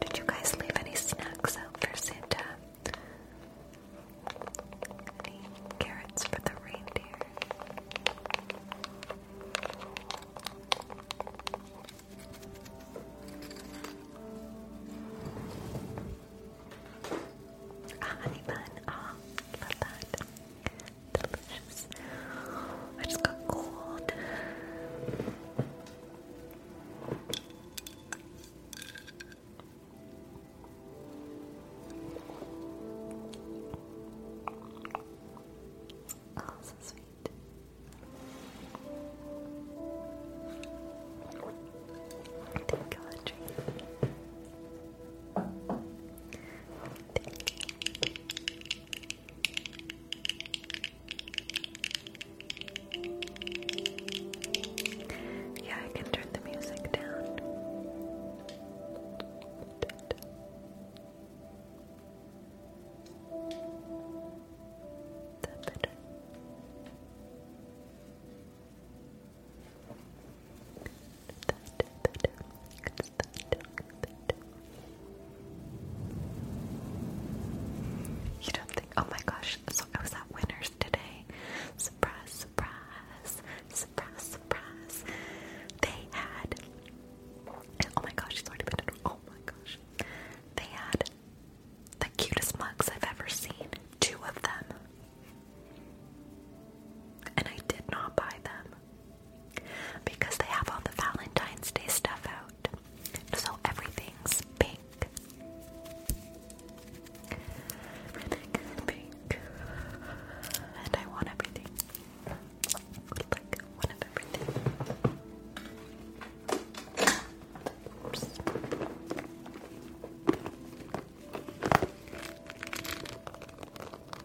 [SPEAKER 1] Did you guys leave any snacks out for Santa? carrots for the reindeer. Ah, honey bun. oh, love that. Delicious. I just got cold. Oh, so sweet. Thank you, Yeah, I can turn the music down. You don't think? Oh my gosh! So I was at Winners today. Surprise! Surprise! surprise, surprise. They had, oh my gosh, it's already been, oh my gosh. They had the cutest mugs I've ever seen, two of them. And I did not buy them because they have all the Valentine's Day stuff out. So everything's pink everything is pink and I want everything like one of everything Oops. Lolita, thank you, thank you, thank you, thank you for the dream. I'm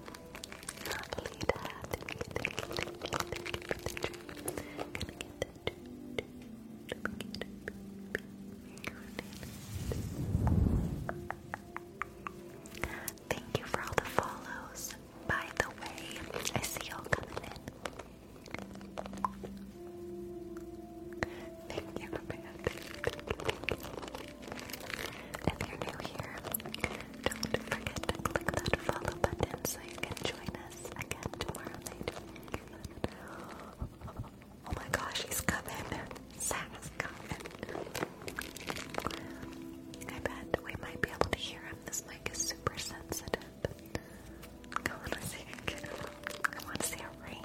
[SPEAKER 1] gonna get that dream. Lolita. Thank you for all the follows. By the way, I see you coming in. Thank you, man. If you're new here, don't forget to click that follow button so you can join us again tomorrow night. Oh my gosh, he's coming. Sam's coming. I bet we might be able to hear him. This mic is super sensitive. I want to see a reindeer.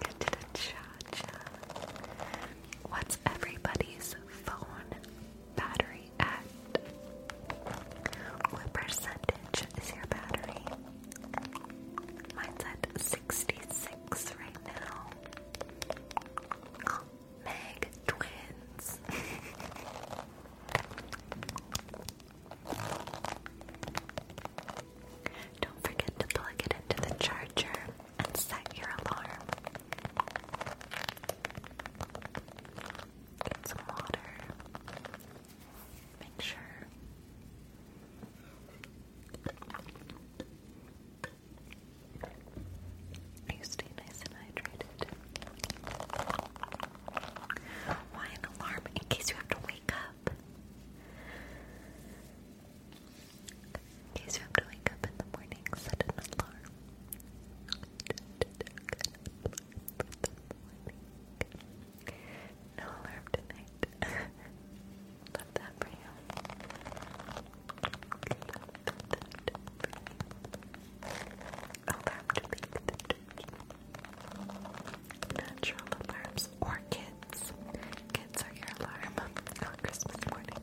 [SPEAKER 1] Get to the What's everybody's phone battery at? What percentage is your battery? Mine's at 66 right now. Meg twins. Don't forget to plug it into the charger and set your alarm. Get some water. Make sure you stay nice and hydrated. Why an alarm? In case you have to wake up. In case you have to wake up in the morning, set an alarm. No alarm tonight. Love that for you. Alarm to beat the Natural alarms or kids. Kids are your alarm on Christmas morning.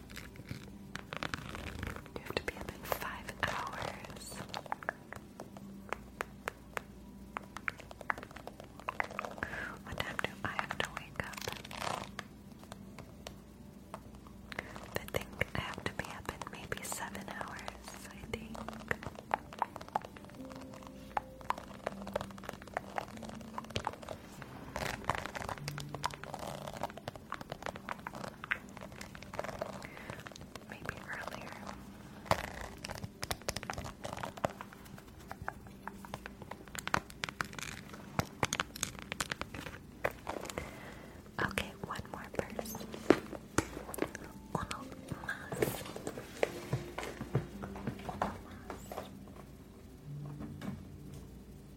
[SPEAKER 1] You have to be up in five hours. What time do I have to wake up? I think I have to be up in maybe seven hours, I think. Maybe earlier. Okay, one more person.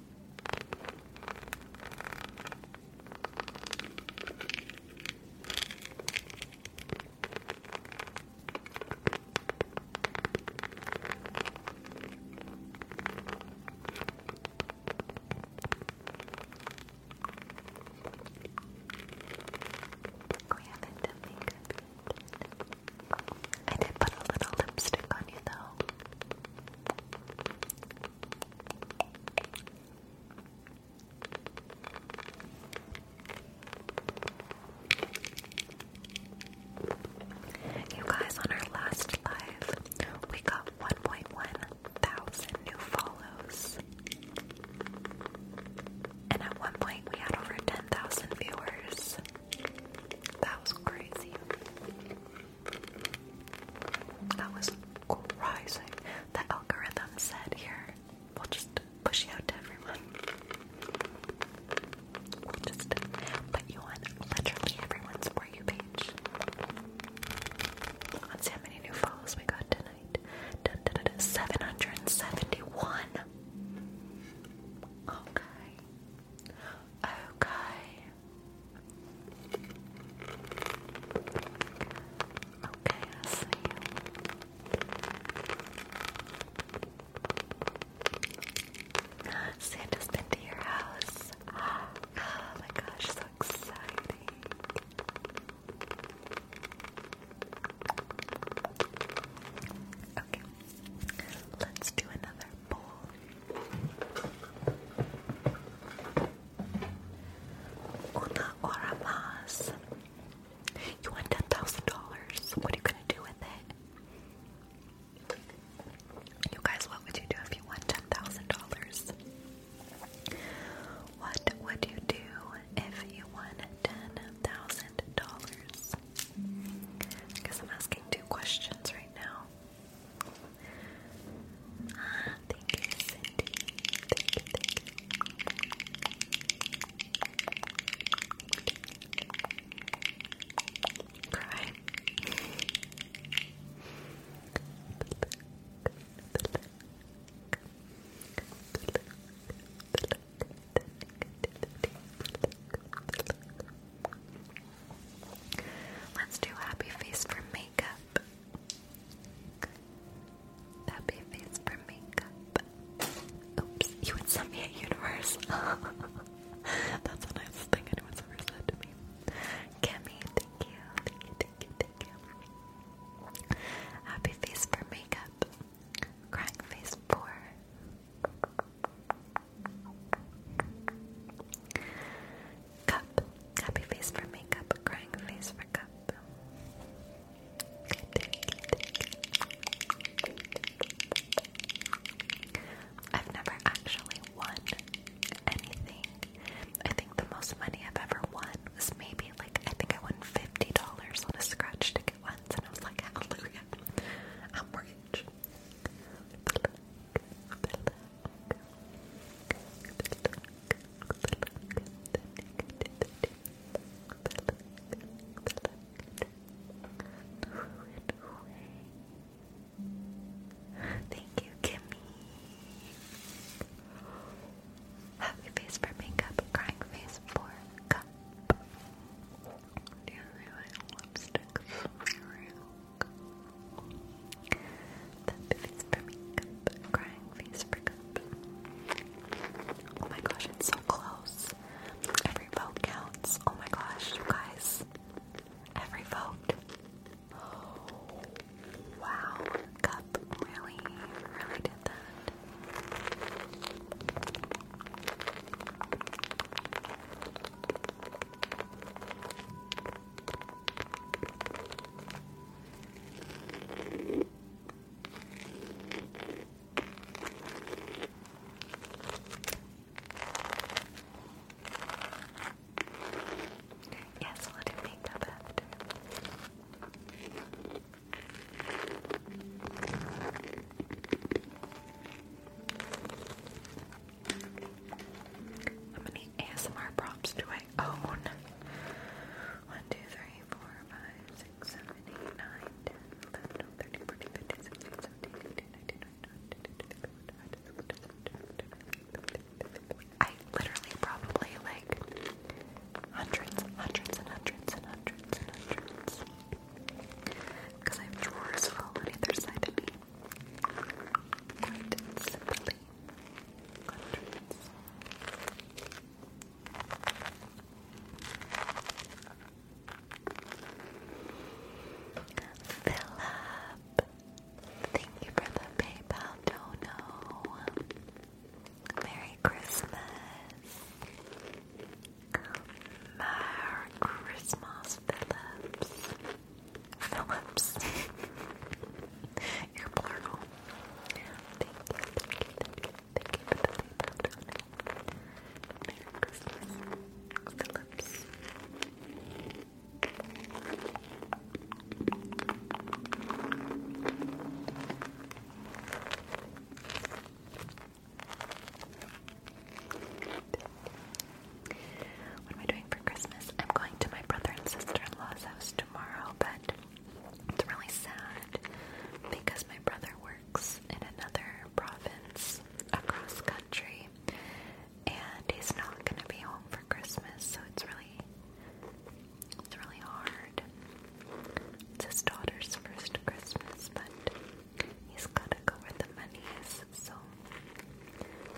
[SPEAKER 1] We haven't done makeup yet. I did put a little lipstick on you though. You guys, on our last live, we got 1.1 thousand new follows. And at one point, we had over 10,000 viewers. That was crazy. That was crazy. The algorithm said, here, we'll just push you out to everyone. We'll just put you on literally everyone's For You page. Let's see how many new follows we got tonight. 771. Okay. Okay. Okay, I see Santa's been to your house. Oh my gosh, so exciting. Okay, let's do another Una hora You want ten thousand dollars. What are you gonna do with it? You guys, what would you do if you won ten thousand dollars? What would you do if you won ten thousand dollars? I I'm asking two questions right now. Ah, thank you, Cindy. Thank you, thank you. Cry. Let's do happy face for makeup. Happy face for makeup. Oops, you would me a universe. That's the nicest thing anyone's ever said to me. Kimmy, thank you, thank you, thank you, thank you. Happy face for makeup. Crying face for Cup. Happy face for makeup. Crying face for cup. I've never actually won anything. I think the most money I've ever won was maybe like I think I won fifty dollars on a scratch ticket once, and I was like, "Hallelujah, I'm rich." Thank you, Kimmy. Happy face for makeup, crying face for cup. Do you lipstick? That face for makeup. Crying face for cup. Oh my gosh, it's so close. Every vote counts. Oh my gosh, you guys. Every vote. wow. Cup really, really did that. Yes, let it make up after. How many ASMR props do I own? 1, I literally probably like hundreds, hundreds and hundreds and hundreds and hundreds. Because I have drawers full on either side of me quite simply hundreds. Philip, thank you for the PayPal dono. Merry Christmas. Merry Christmas, Phillips. Phillips. You're plural. Thank you, thank you, thank you, thank you for the paper. Merry Christmas, Phillips. What am I doing for Christmas? I'm going to my brother and sister-in-law's house tomorrow, but it's really sad because my brother works in another province across country and he's not going to be home for Christmas, so it's really it's really hard. It's his daughter's first Christmas, but he's got to go where the money is so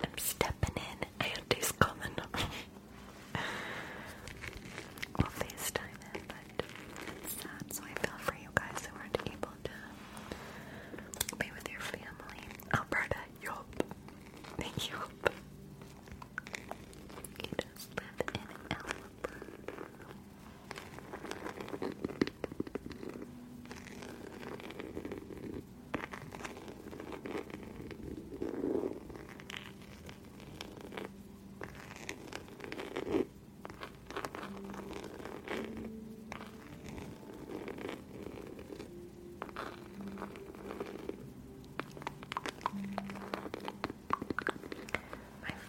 [SPEAKER 1] I'm stepping in. I had coming. we'll FaceTime it, but sad. So I feel for you guys who aren't able to be with your family. Alberta, yup. Yup. You just live in Alberta. My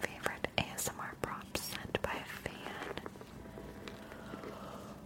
[SPEAKER 1] favorite ASMR props sent by a fan.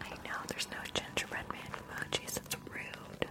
[SPEAKER 1] I know there's no gingerbread man emojis, That's rude.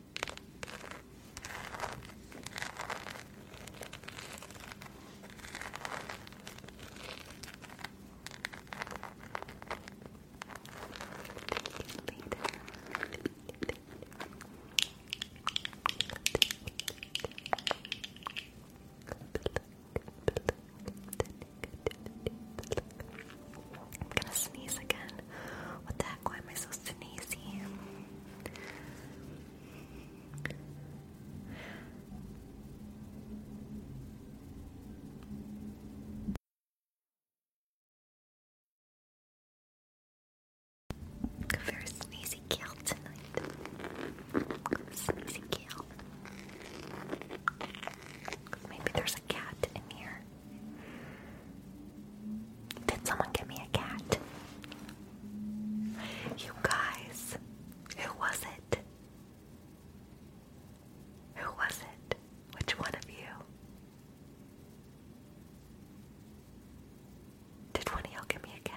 [SPEAKER 1] I'm gonna sneeze again. What the back. Why am I so sneezy? Very sneezy kale Sneezy kale. Maybe there's a cat in here. Did someone give me a cat? You guys, who was it? Who was it? Which one of you? Did one of you give me a cat?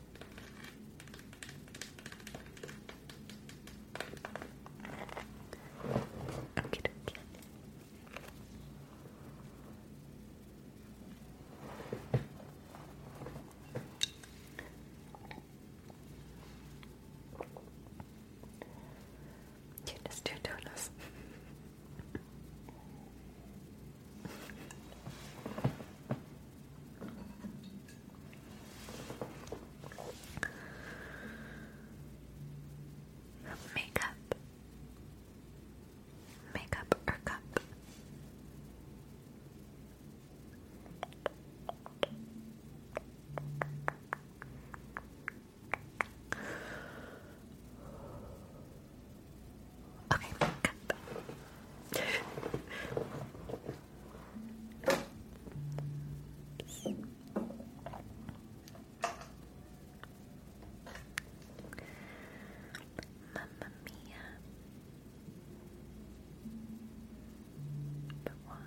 [SPEAKER 1] Okay, okay. You just do donuts. Makeup. Makeup or cup. Okay, cup. Oops. Mamma Mia. But why?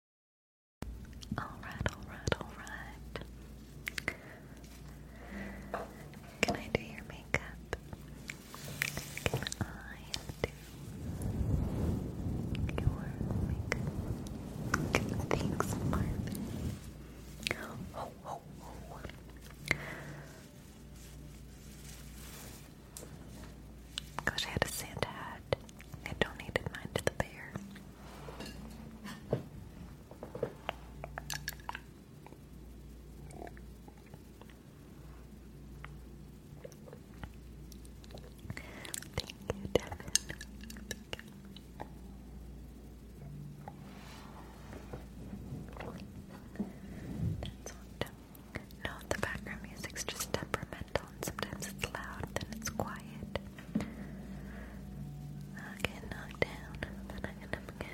[SPEAKER 1] Alright, alright, alright. Can I do your makeup? Can I do your makeup? Thanks, Marvin. Oh, Gosh, I had a Santa hat. I donated mine to the bear. Thank you, Devin. No, the background music's just temperamental sometimes it's loud, then it's quiet. I'll get knocked down, then I get up again.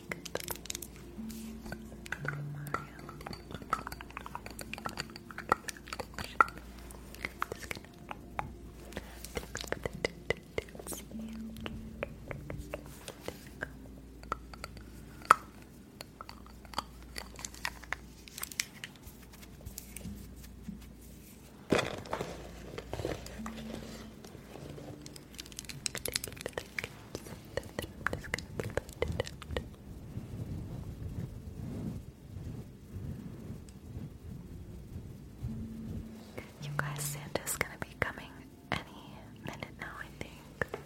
[SPEAKER 1] like Thank you. You guys, Santa's going to be coming any minute now, I think.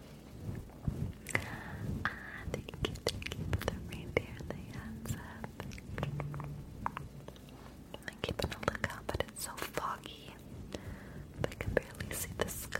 [SPEAKER 1] Ah, thank you, thank you for the reindeer, the hands up. I'm keeping a lookout, but it's so foggy. I can barely see the sky.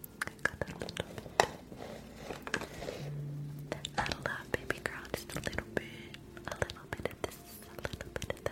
[SPEAKER 1] I got a little bit. Not a baby girl, just a little bit. A little bit of this, a little bit of that.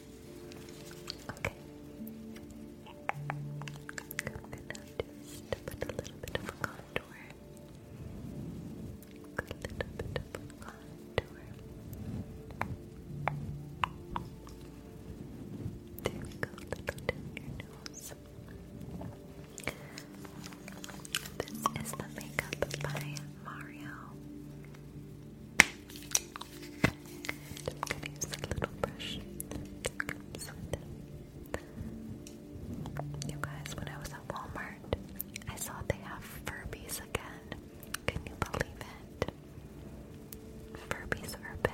[SPEAKER 1] Okay. I'm gonna just put a little bit of contour. A little bit of contour. There we go, a little down your nose. This is the makeup by Mario. I'm gonna use the little brush You guys, when I was at Walmart, I saw they have Furbies again. Can you believe it? Furbies are back.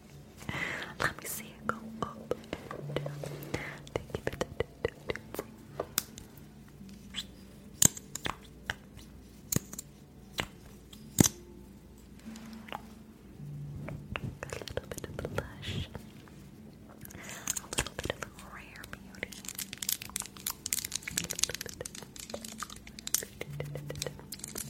[SPEAKER 1] Let me see it go up A little bit of blush. A little bit of rare beauty.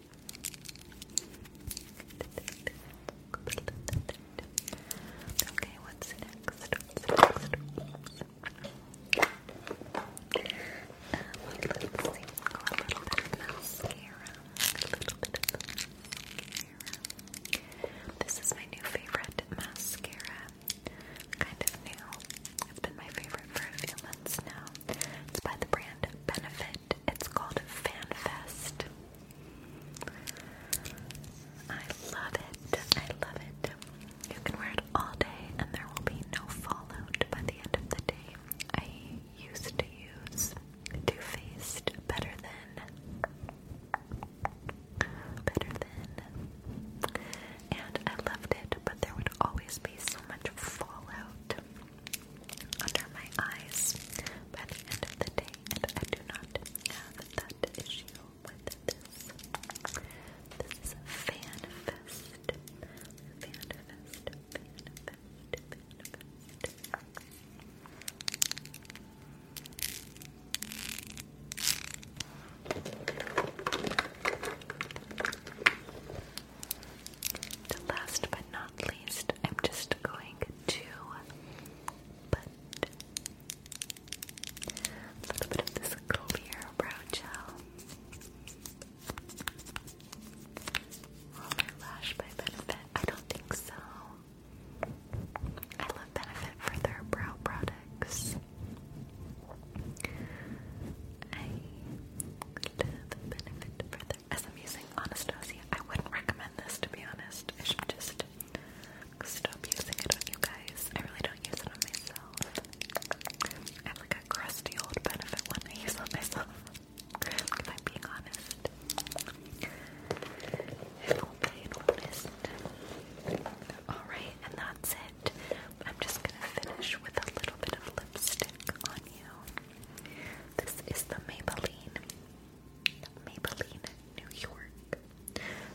[SPEAKER 1] Okay, what's next? What's uh, a little bit of mascara. This is my new favorite mascara. Kind of new. been my favorite for a few months now. It's by the brand Benefit. It's called FanFest. I love it. I love it. You can wear it all day and there will be no fallout by the end of the day. I used to use Too Faced Better Than. Better Than. And I loved it, but there would always be so much fallout under my eyes by the end of the day, I do not have that issue with this. This fan fest. Fan fest. Fan fest. Fan fest last but not least, I'm just going to put a little bit of this clear brow gel Roller Lash by Benefit. I don't think so. I love Benefit for their brow products. I love Benefit for as I'm I wouldn't recommend this to be honest. I should just stop using it on you guys. I really don't use it on myself. I like a crusty old benefit one I use on myself. if I'm being honest. If only it honest. Alright, and that's it. I'm just gonna finish with a little bit of lipstick on you. This is the Maybelline, Maybelline New York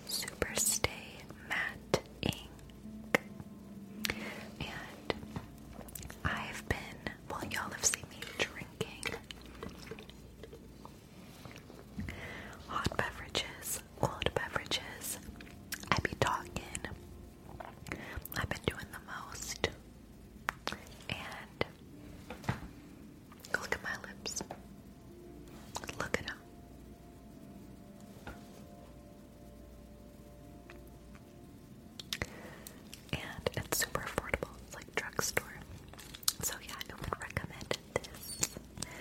[SPEAKER 1] Super Stay Matte Ink. And I've been, well, y'all have seen me drinking hot beverages, cold beverages. I be talking. I've been doing the most and look at my lips. Look at them. And it's super affordable. It's like drugstore. So yeah, I would recommend this.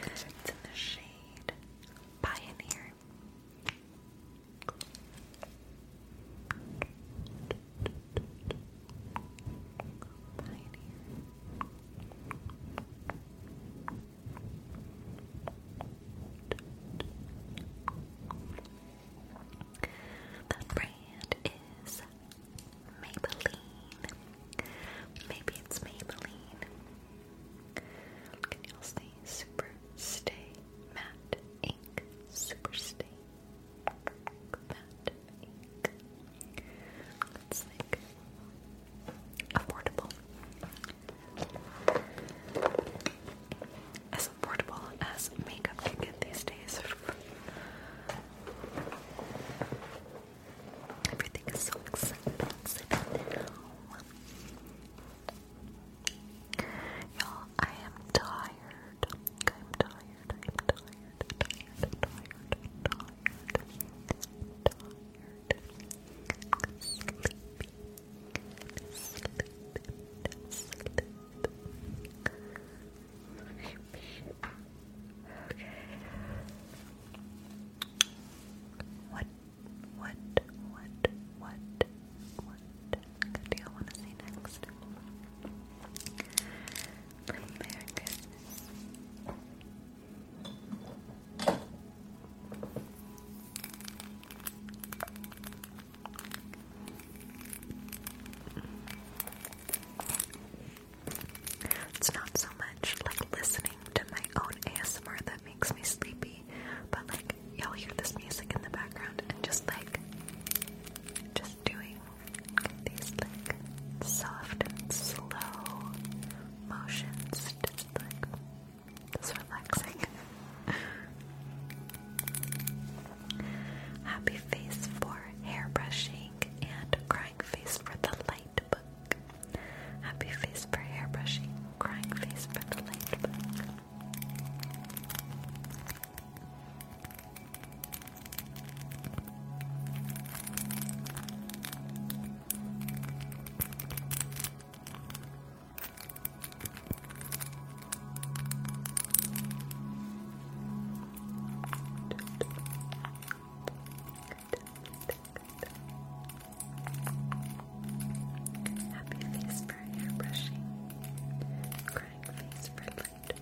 [SPEAKER 1] It's in the shade Pioneer. The brand is Maybelline. Maybe it's Maybelline. Can y'all Super Stay Matte Ink? Super Stay matte affordable. As affordable as makeup can get these days.
[SPEAKER 2] Everything is so expensive now. Y'all, I am tired. I'm tired. I'm tired. Tired. Tired. Tired. Tired.
[SPEAKER 1] Sleepy. Sleep. What? What? What? What? What? do you want to see next? It's not so much like listening to my own ASMR that makes me sleepy, but like y'all hear this music in the background and just like just doing these like soft and slow motions, just like just relaxing. Happy face for hair brushing and crying face for the light book. Happy face for hair brushing, crying face for the light book. Happy face for hair brushing, crying face for light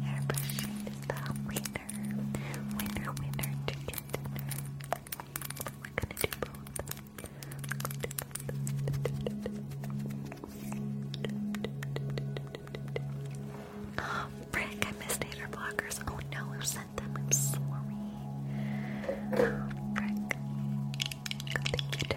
[SPEAKER 1] Airbrushing is the winner. Winner, winner, chicken We're gonna do both. Oh, I missed hater blockers. Oh no, I sent them. I'm sorry. Um, oh, Thank you to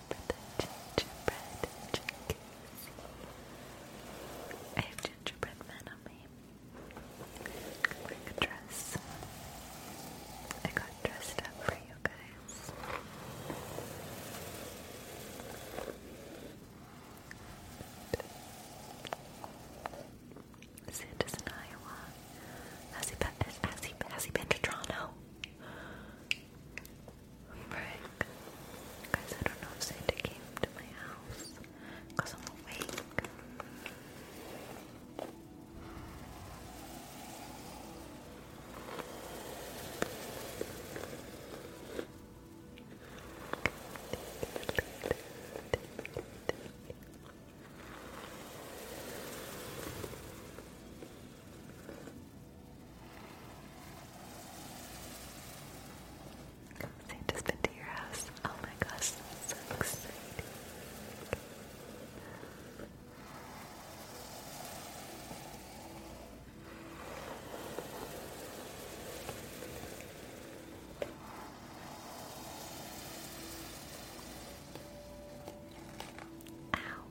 [SPEAKER 1] for I have gingerbread men on me. I'm wearing I got dressed up for you guys. Santa's in Iowa. Has he been? Has he? Has he been to Toronto? Guys, I don't know if Santa came to my house because I'm awake. They just been to your house. Oh my gosh, that's so Ow.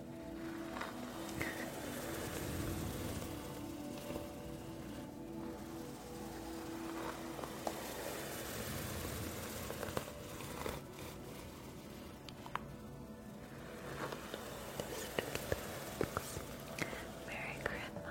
[SPEAKER 1] Merry Christmas. Merry Christmas.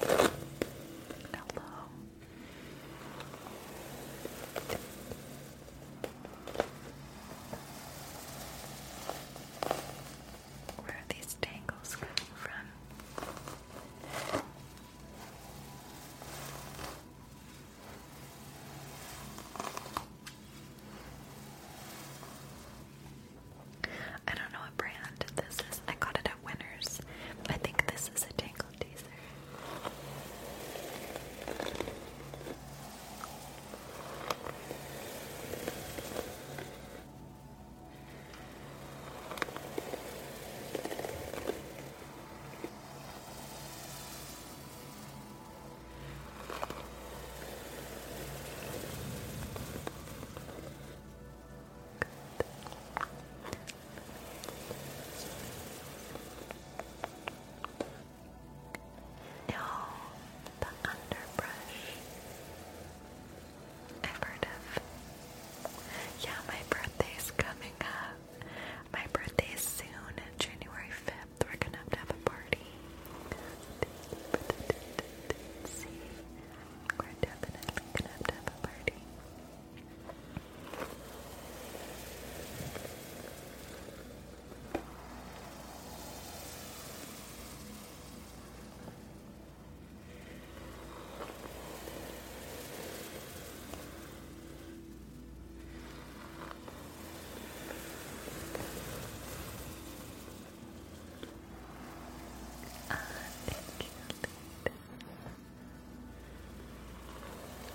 [SPEAKER 1] Hello. Where are these tangles coming from? I don't know what brand this is. I got it at Winners. I think this is a Tangle Teaser. No, the underbrush. I've heard of. Yeah, my birthday's coming up. My birthday's soon, January 5th depth. We're gonna have to have a party. we're gonna have to have a party.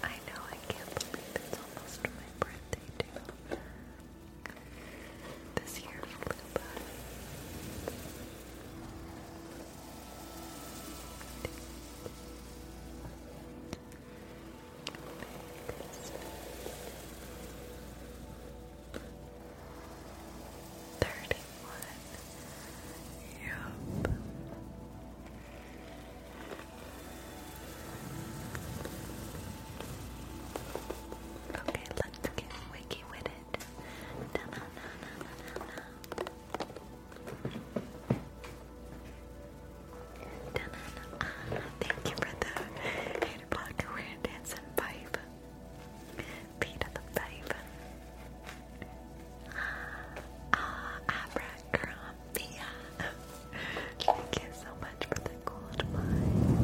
[SPEAKER 1] I know, I can't believe it's almost my birthday, This year flew Thirty-one. Yep. Okay, let's get wiki with it. thank you for the to block dancing pipe. Peter the babe. Ah, Thank you so much for the gold mine.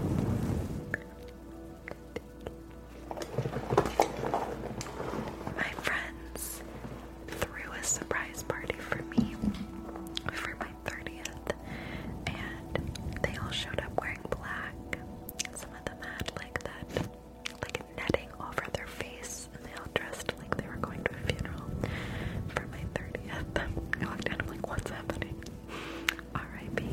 [SPEAKER 1] My friends threw a surprise party for me for my 30th, and they all showed up wearing black. Some of them had like that, like netting over their face, and they all dressed like they were going to a funeral for my 30th. I looked down, I'm like, what's happening? R.I.P.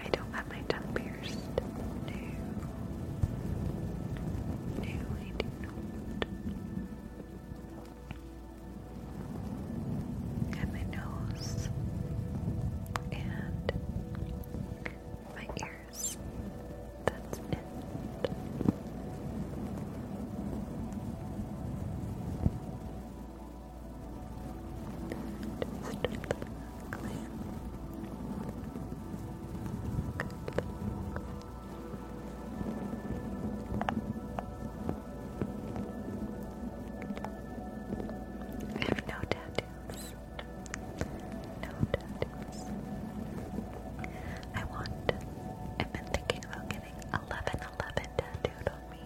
[SPEAKER 1] I don't have my tongue pierced. No. No, I do not. And my nose. And my ears. That's it second. Just I have no tattoos. No tattoos. I want. I've been thinking about getting getting 1111 tattooed on me.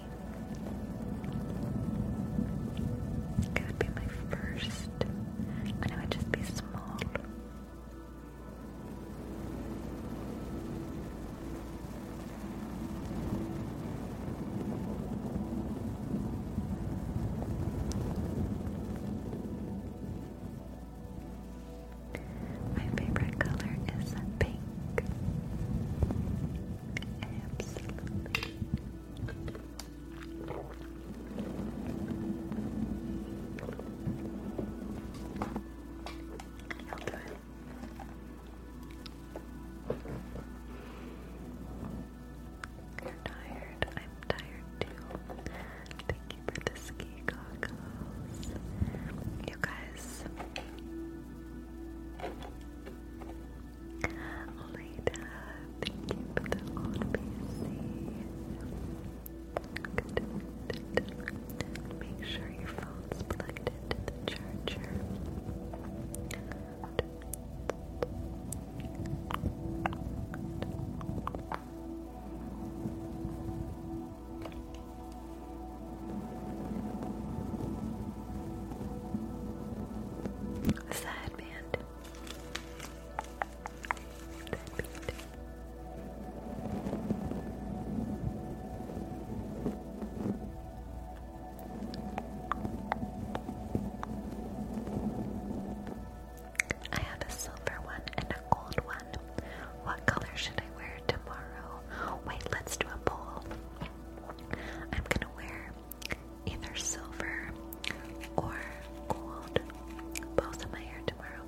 [SPEAKER 1] It would be my first, and it would just be small. My favorite color is pink. You're tired. I'm tired too for the ski goggles. You guys, Leda, uh, thank you for the old Make sure your phone's plugged into the charger. Side band. I have a silver one and a gold one. What color should I wear tomorrow? Wait, let's do a poll. I'm gonna wear either silver or gold. Both of my hair tomorrow.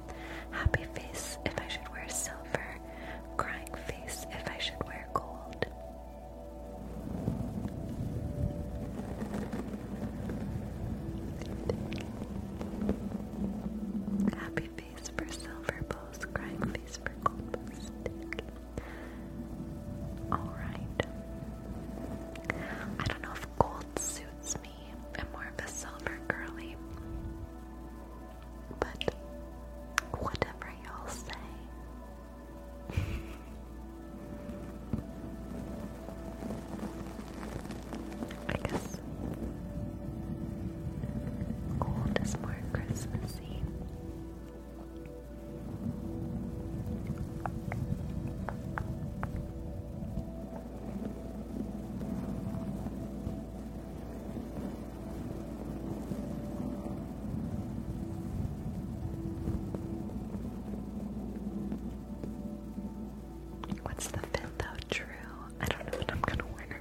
[SPEAKER 1] Happy face if I should wear silver. Crying face if I should wear gold. Happy face face for silver post, crying face for gold post. Alright. I don't know if gold suits me. I'm more of a silver girly. But whatever y'all say. I guess gold is more Christmassy.
[SPEAKER 2] What's the fifth though? True. I don't know what I'm gonna wear.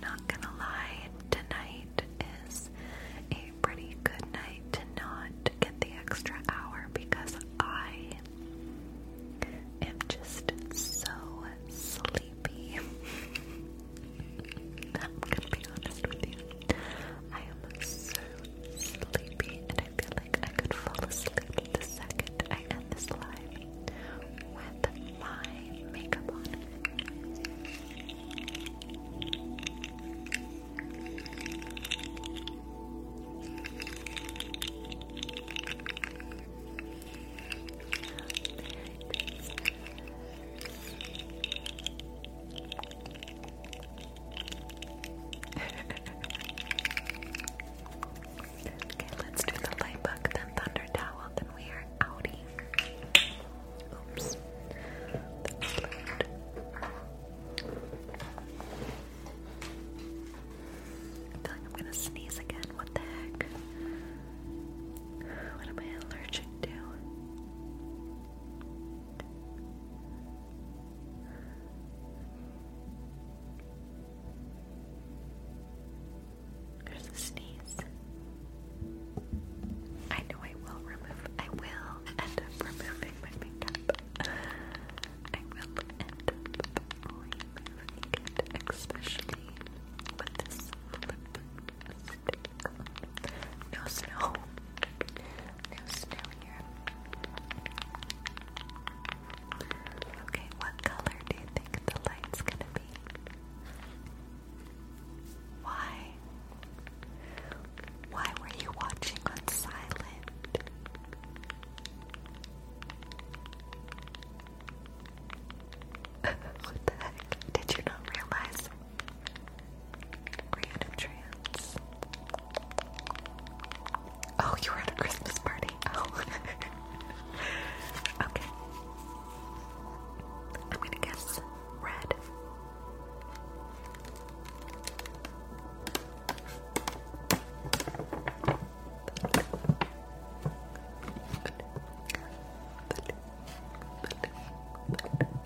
[SPEAKER 1] Not gonna lie, tonight is a pretty good night to not get the extra hour because I am just so sleepy.
[SPEAKER 2] I'm gonna be honest with you. I am so sleepy
[SPEAKER 1] and I feel like I could fall asleep the second I end this live with my makeup on okay, let's do the light bug, then thunder towel, then we are outie. Oops. I feel like I'm gonna sneeze again. What the heck?
[SPEAKER 2] What am I allergic to? There's a sneeze. I know I will remove, I will end up removing my makeup. I will end up removing it, especially with this lip
[SPEAKER 1] no snow. No snow here. Okay, what color do you think the light's gonna be? Why? Why were you watching on silent? what the heck? Did you not realize? Create Oh, you were at a Christmas party. Oh. okay. I'm gonna guess red.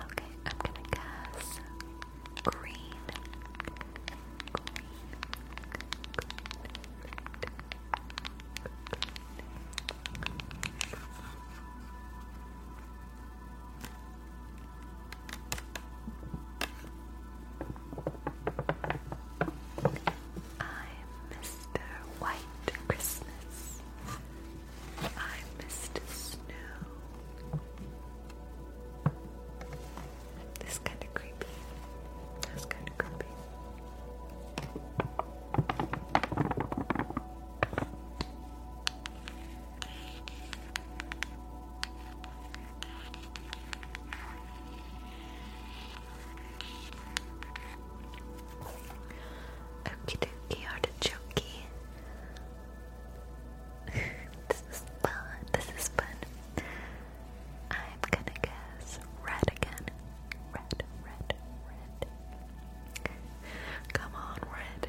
[SPEAKER 1] Okay, I'm gonna guess green. I'm Mr. White Christmas. I'm Mr. Snow. This is kind of creepy. That's kind of creepy. Okie dokie artichokey. this is fun. This is fun. I'm gonna guess red again. Red, red, red. Come on, red.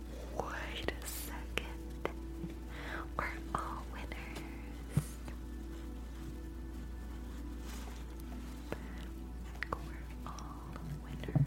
[SPEAKER 1] Wait a second. We're all winners. We're all winners.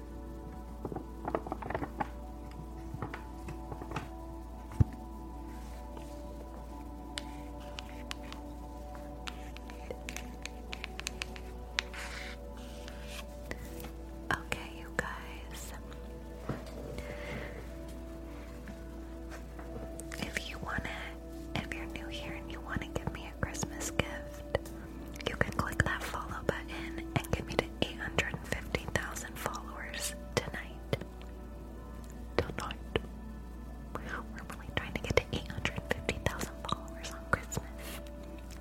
[SPEAKER 1] Okay, you guys. If you want to, if you're new here and you want to give me a Christmas gift, you can click that follow button and give me 850,000 followers tonight. Tonight. We're really trying to get to 850,000 followers on Christmas.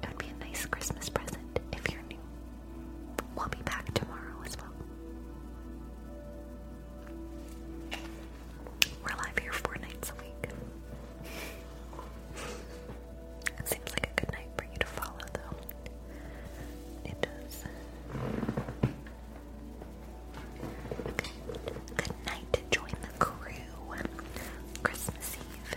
[SPEAKER 1] It would be a nice Christmas present if you're new. We'll be back tomorrow as well. We're live here four nights a week. It seems like a good night for you to follow, though. It does. Good night to join the crew. Christmas Eve.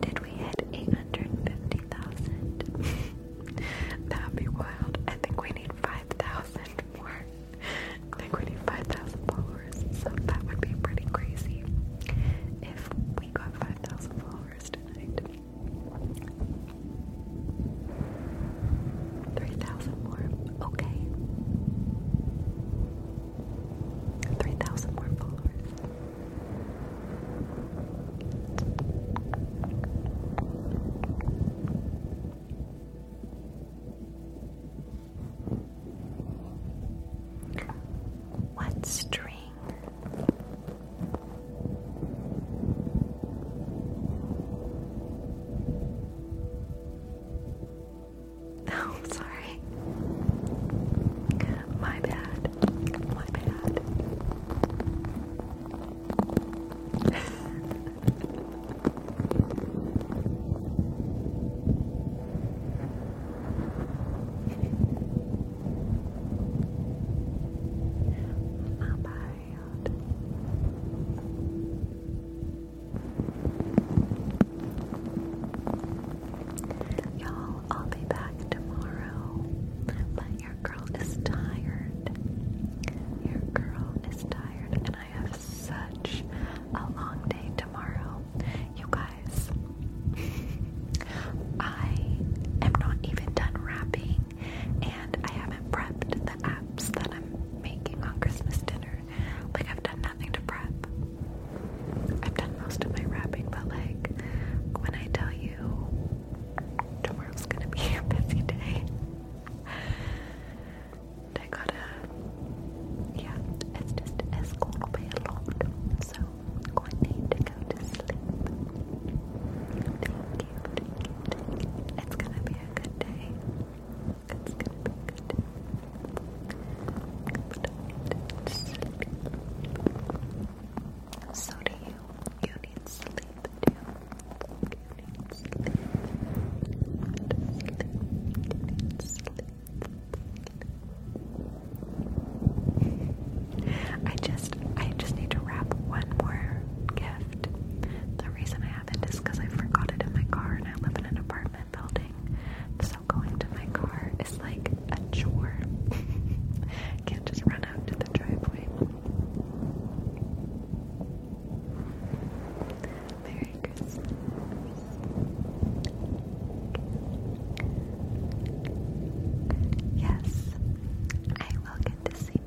[SPEAKER 1] Did we hit 850,000? That'd be wild. I think we need 5,000 more. I think we need 5,000 followers, so that would be pretty crazy if we got 5,000 followers tonight. 3,000 more. Okay. 3,000 more followers. What stream morning. Oh, sorry. My bad. My bad. about y'all? I'll be back tomorrow, but your girl is tired. Your girl is tired, and I have such a long day tomorrow. You guys, I am not even done wrapping and I haven't prepped the apps that I'm making on Christmas dinner. Like, I've done nothing to prep. I've done most of my wrapping, but like, when I tell you tomorrow's gonna be a busy day, I gotta, yeah, it's just, it's gonna be a lot. So, I need to go to sleep. It's gonna be a good day. It's gonna be a good day. Good Sleep. So do you. You need sleep too. You need sleep. sleep. You need sleep. I just I just need to wrap one more gift. The reason I haven't is because I forgot it in my car and I live in an apartment building. So going to my car is like a chore. Can't just run out to the driveway. Merry Christmas. Yes, I will get to see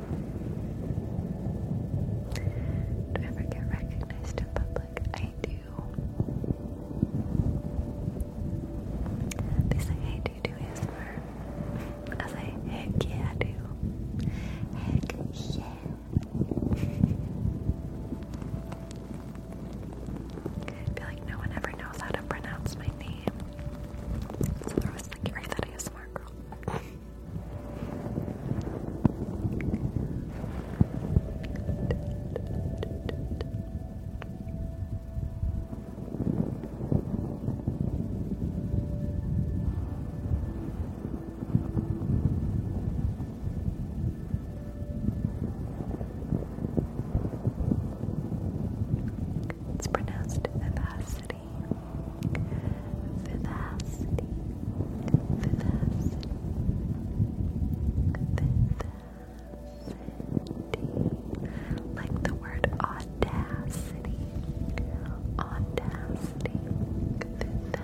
[SPEAKER 1] Do I ever get recognized in public? I do. They say, hey, do you I say, heck yeah, I do. Heck yeah. I feel like no one ever knows how to pronounce my name. So they're always like, are you that ASMR girl?
[SPEAKER 2] It's pronounced vivacity. Vivacity. Vivacity. Vivacity. Like the word audacity. Audacity. Vivacity.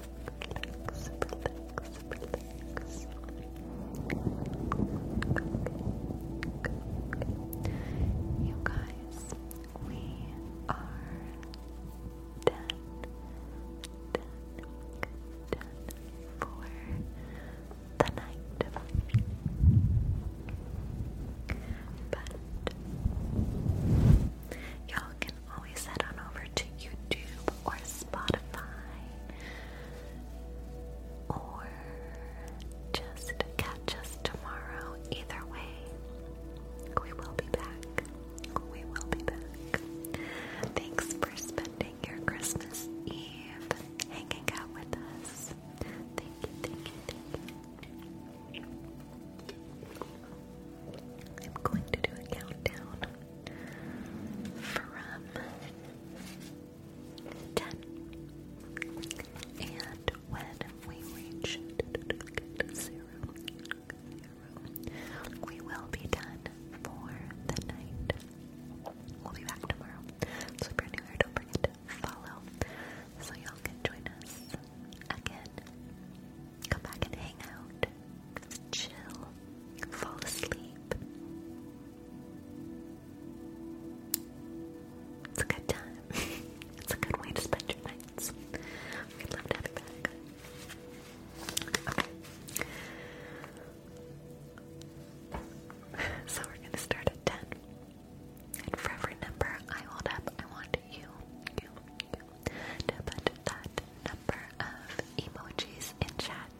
[SPEAKER 2] relax, You guys, we are done, done, done for the night. But y'all can always head on over to YouTube or Spotify or just catch us tomorrow. Either way, we will be back. We will be back. Thanks for spending your Christmas Eve hanging out with us. Thank you, thank you, thank you. I'm going to do a countdown from 10. And when we reach zero, zero, we will be done for the night. We'll be back tomorrow. So if you're new here, don't forget to follow so y'all can join us again. Come back and hang out, chill, fall asleep. It's a good time. it's a good way to spend your nights. We'd love to have you back. Okay.
[SPEAKER 1] so we're gonna start at ten. And for every number I hold up, I want you, you, you, to that number of emojis in chat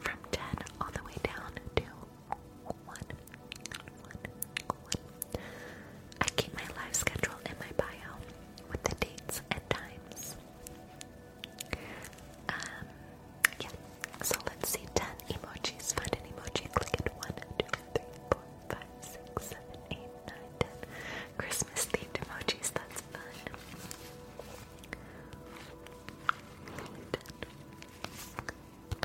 [SPEAKER 1] from 10 all the way down to 1. I keep my live schedule in my bio with the dates and times. Um, yeah, so let's see 10 emojis. Find an emoji, click it 1, Christmas themed emojis, that's fun.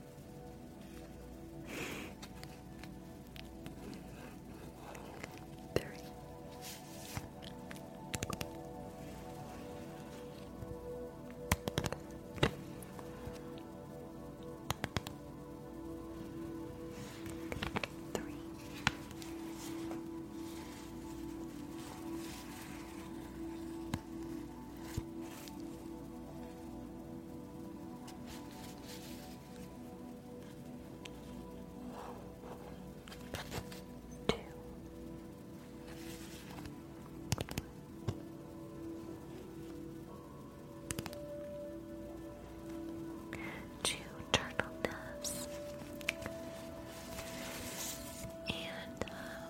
[SPEAKER 1] Three. Three. Four. Two. Two turtle doves and uh,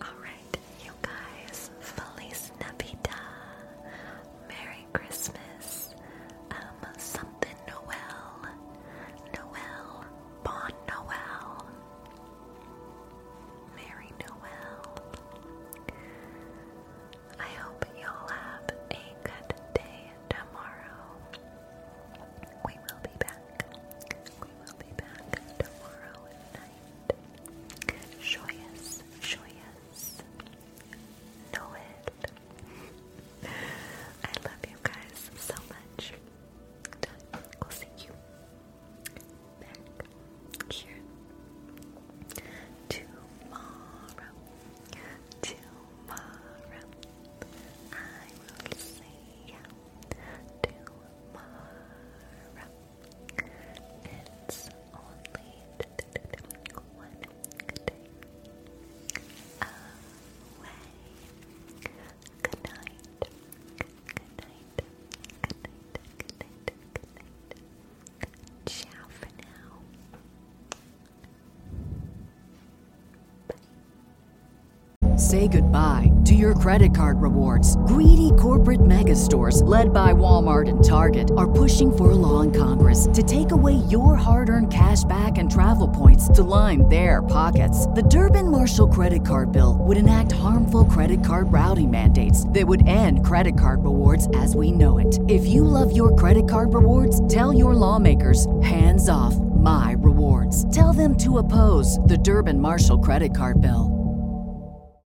[SPEAKER 1] Alright, you guys, Feliz Navidad. Merry Christmas. Um, something Noel. Noel. Bon Noel. Merry Noel. I hope you'll have a good day tomorrow. We will be back. We will be back tomorrow night. Joyous, joyous. Know it. I love you guys so much. We'll see you back here tomorrow. Tomorrow. I will see you tomorrow. Say goodbye to your credit card rewards. Greedy corporate mega stores, led by Walmart and Target are pushing for a law in Congress to take away your hard earned cash back and travel points to line their pockets. The Durbin Marshall credit card bill would enact harmful credit card routing mandates that would end credit card rewards as we know it. If you love your credit card rewards, tell your lawmakers hands off my rewards. Tell them to oppose the Durbin Marshall credit card bill.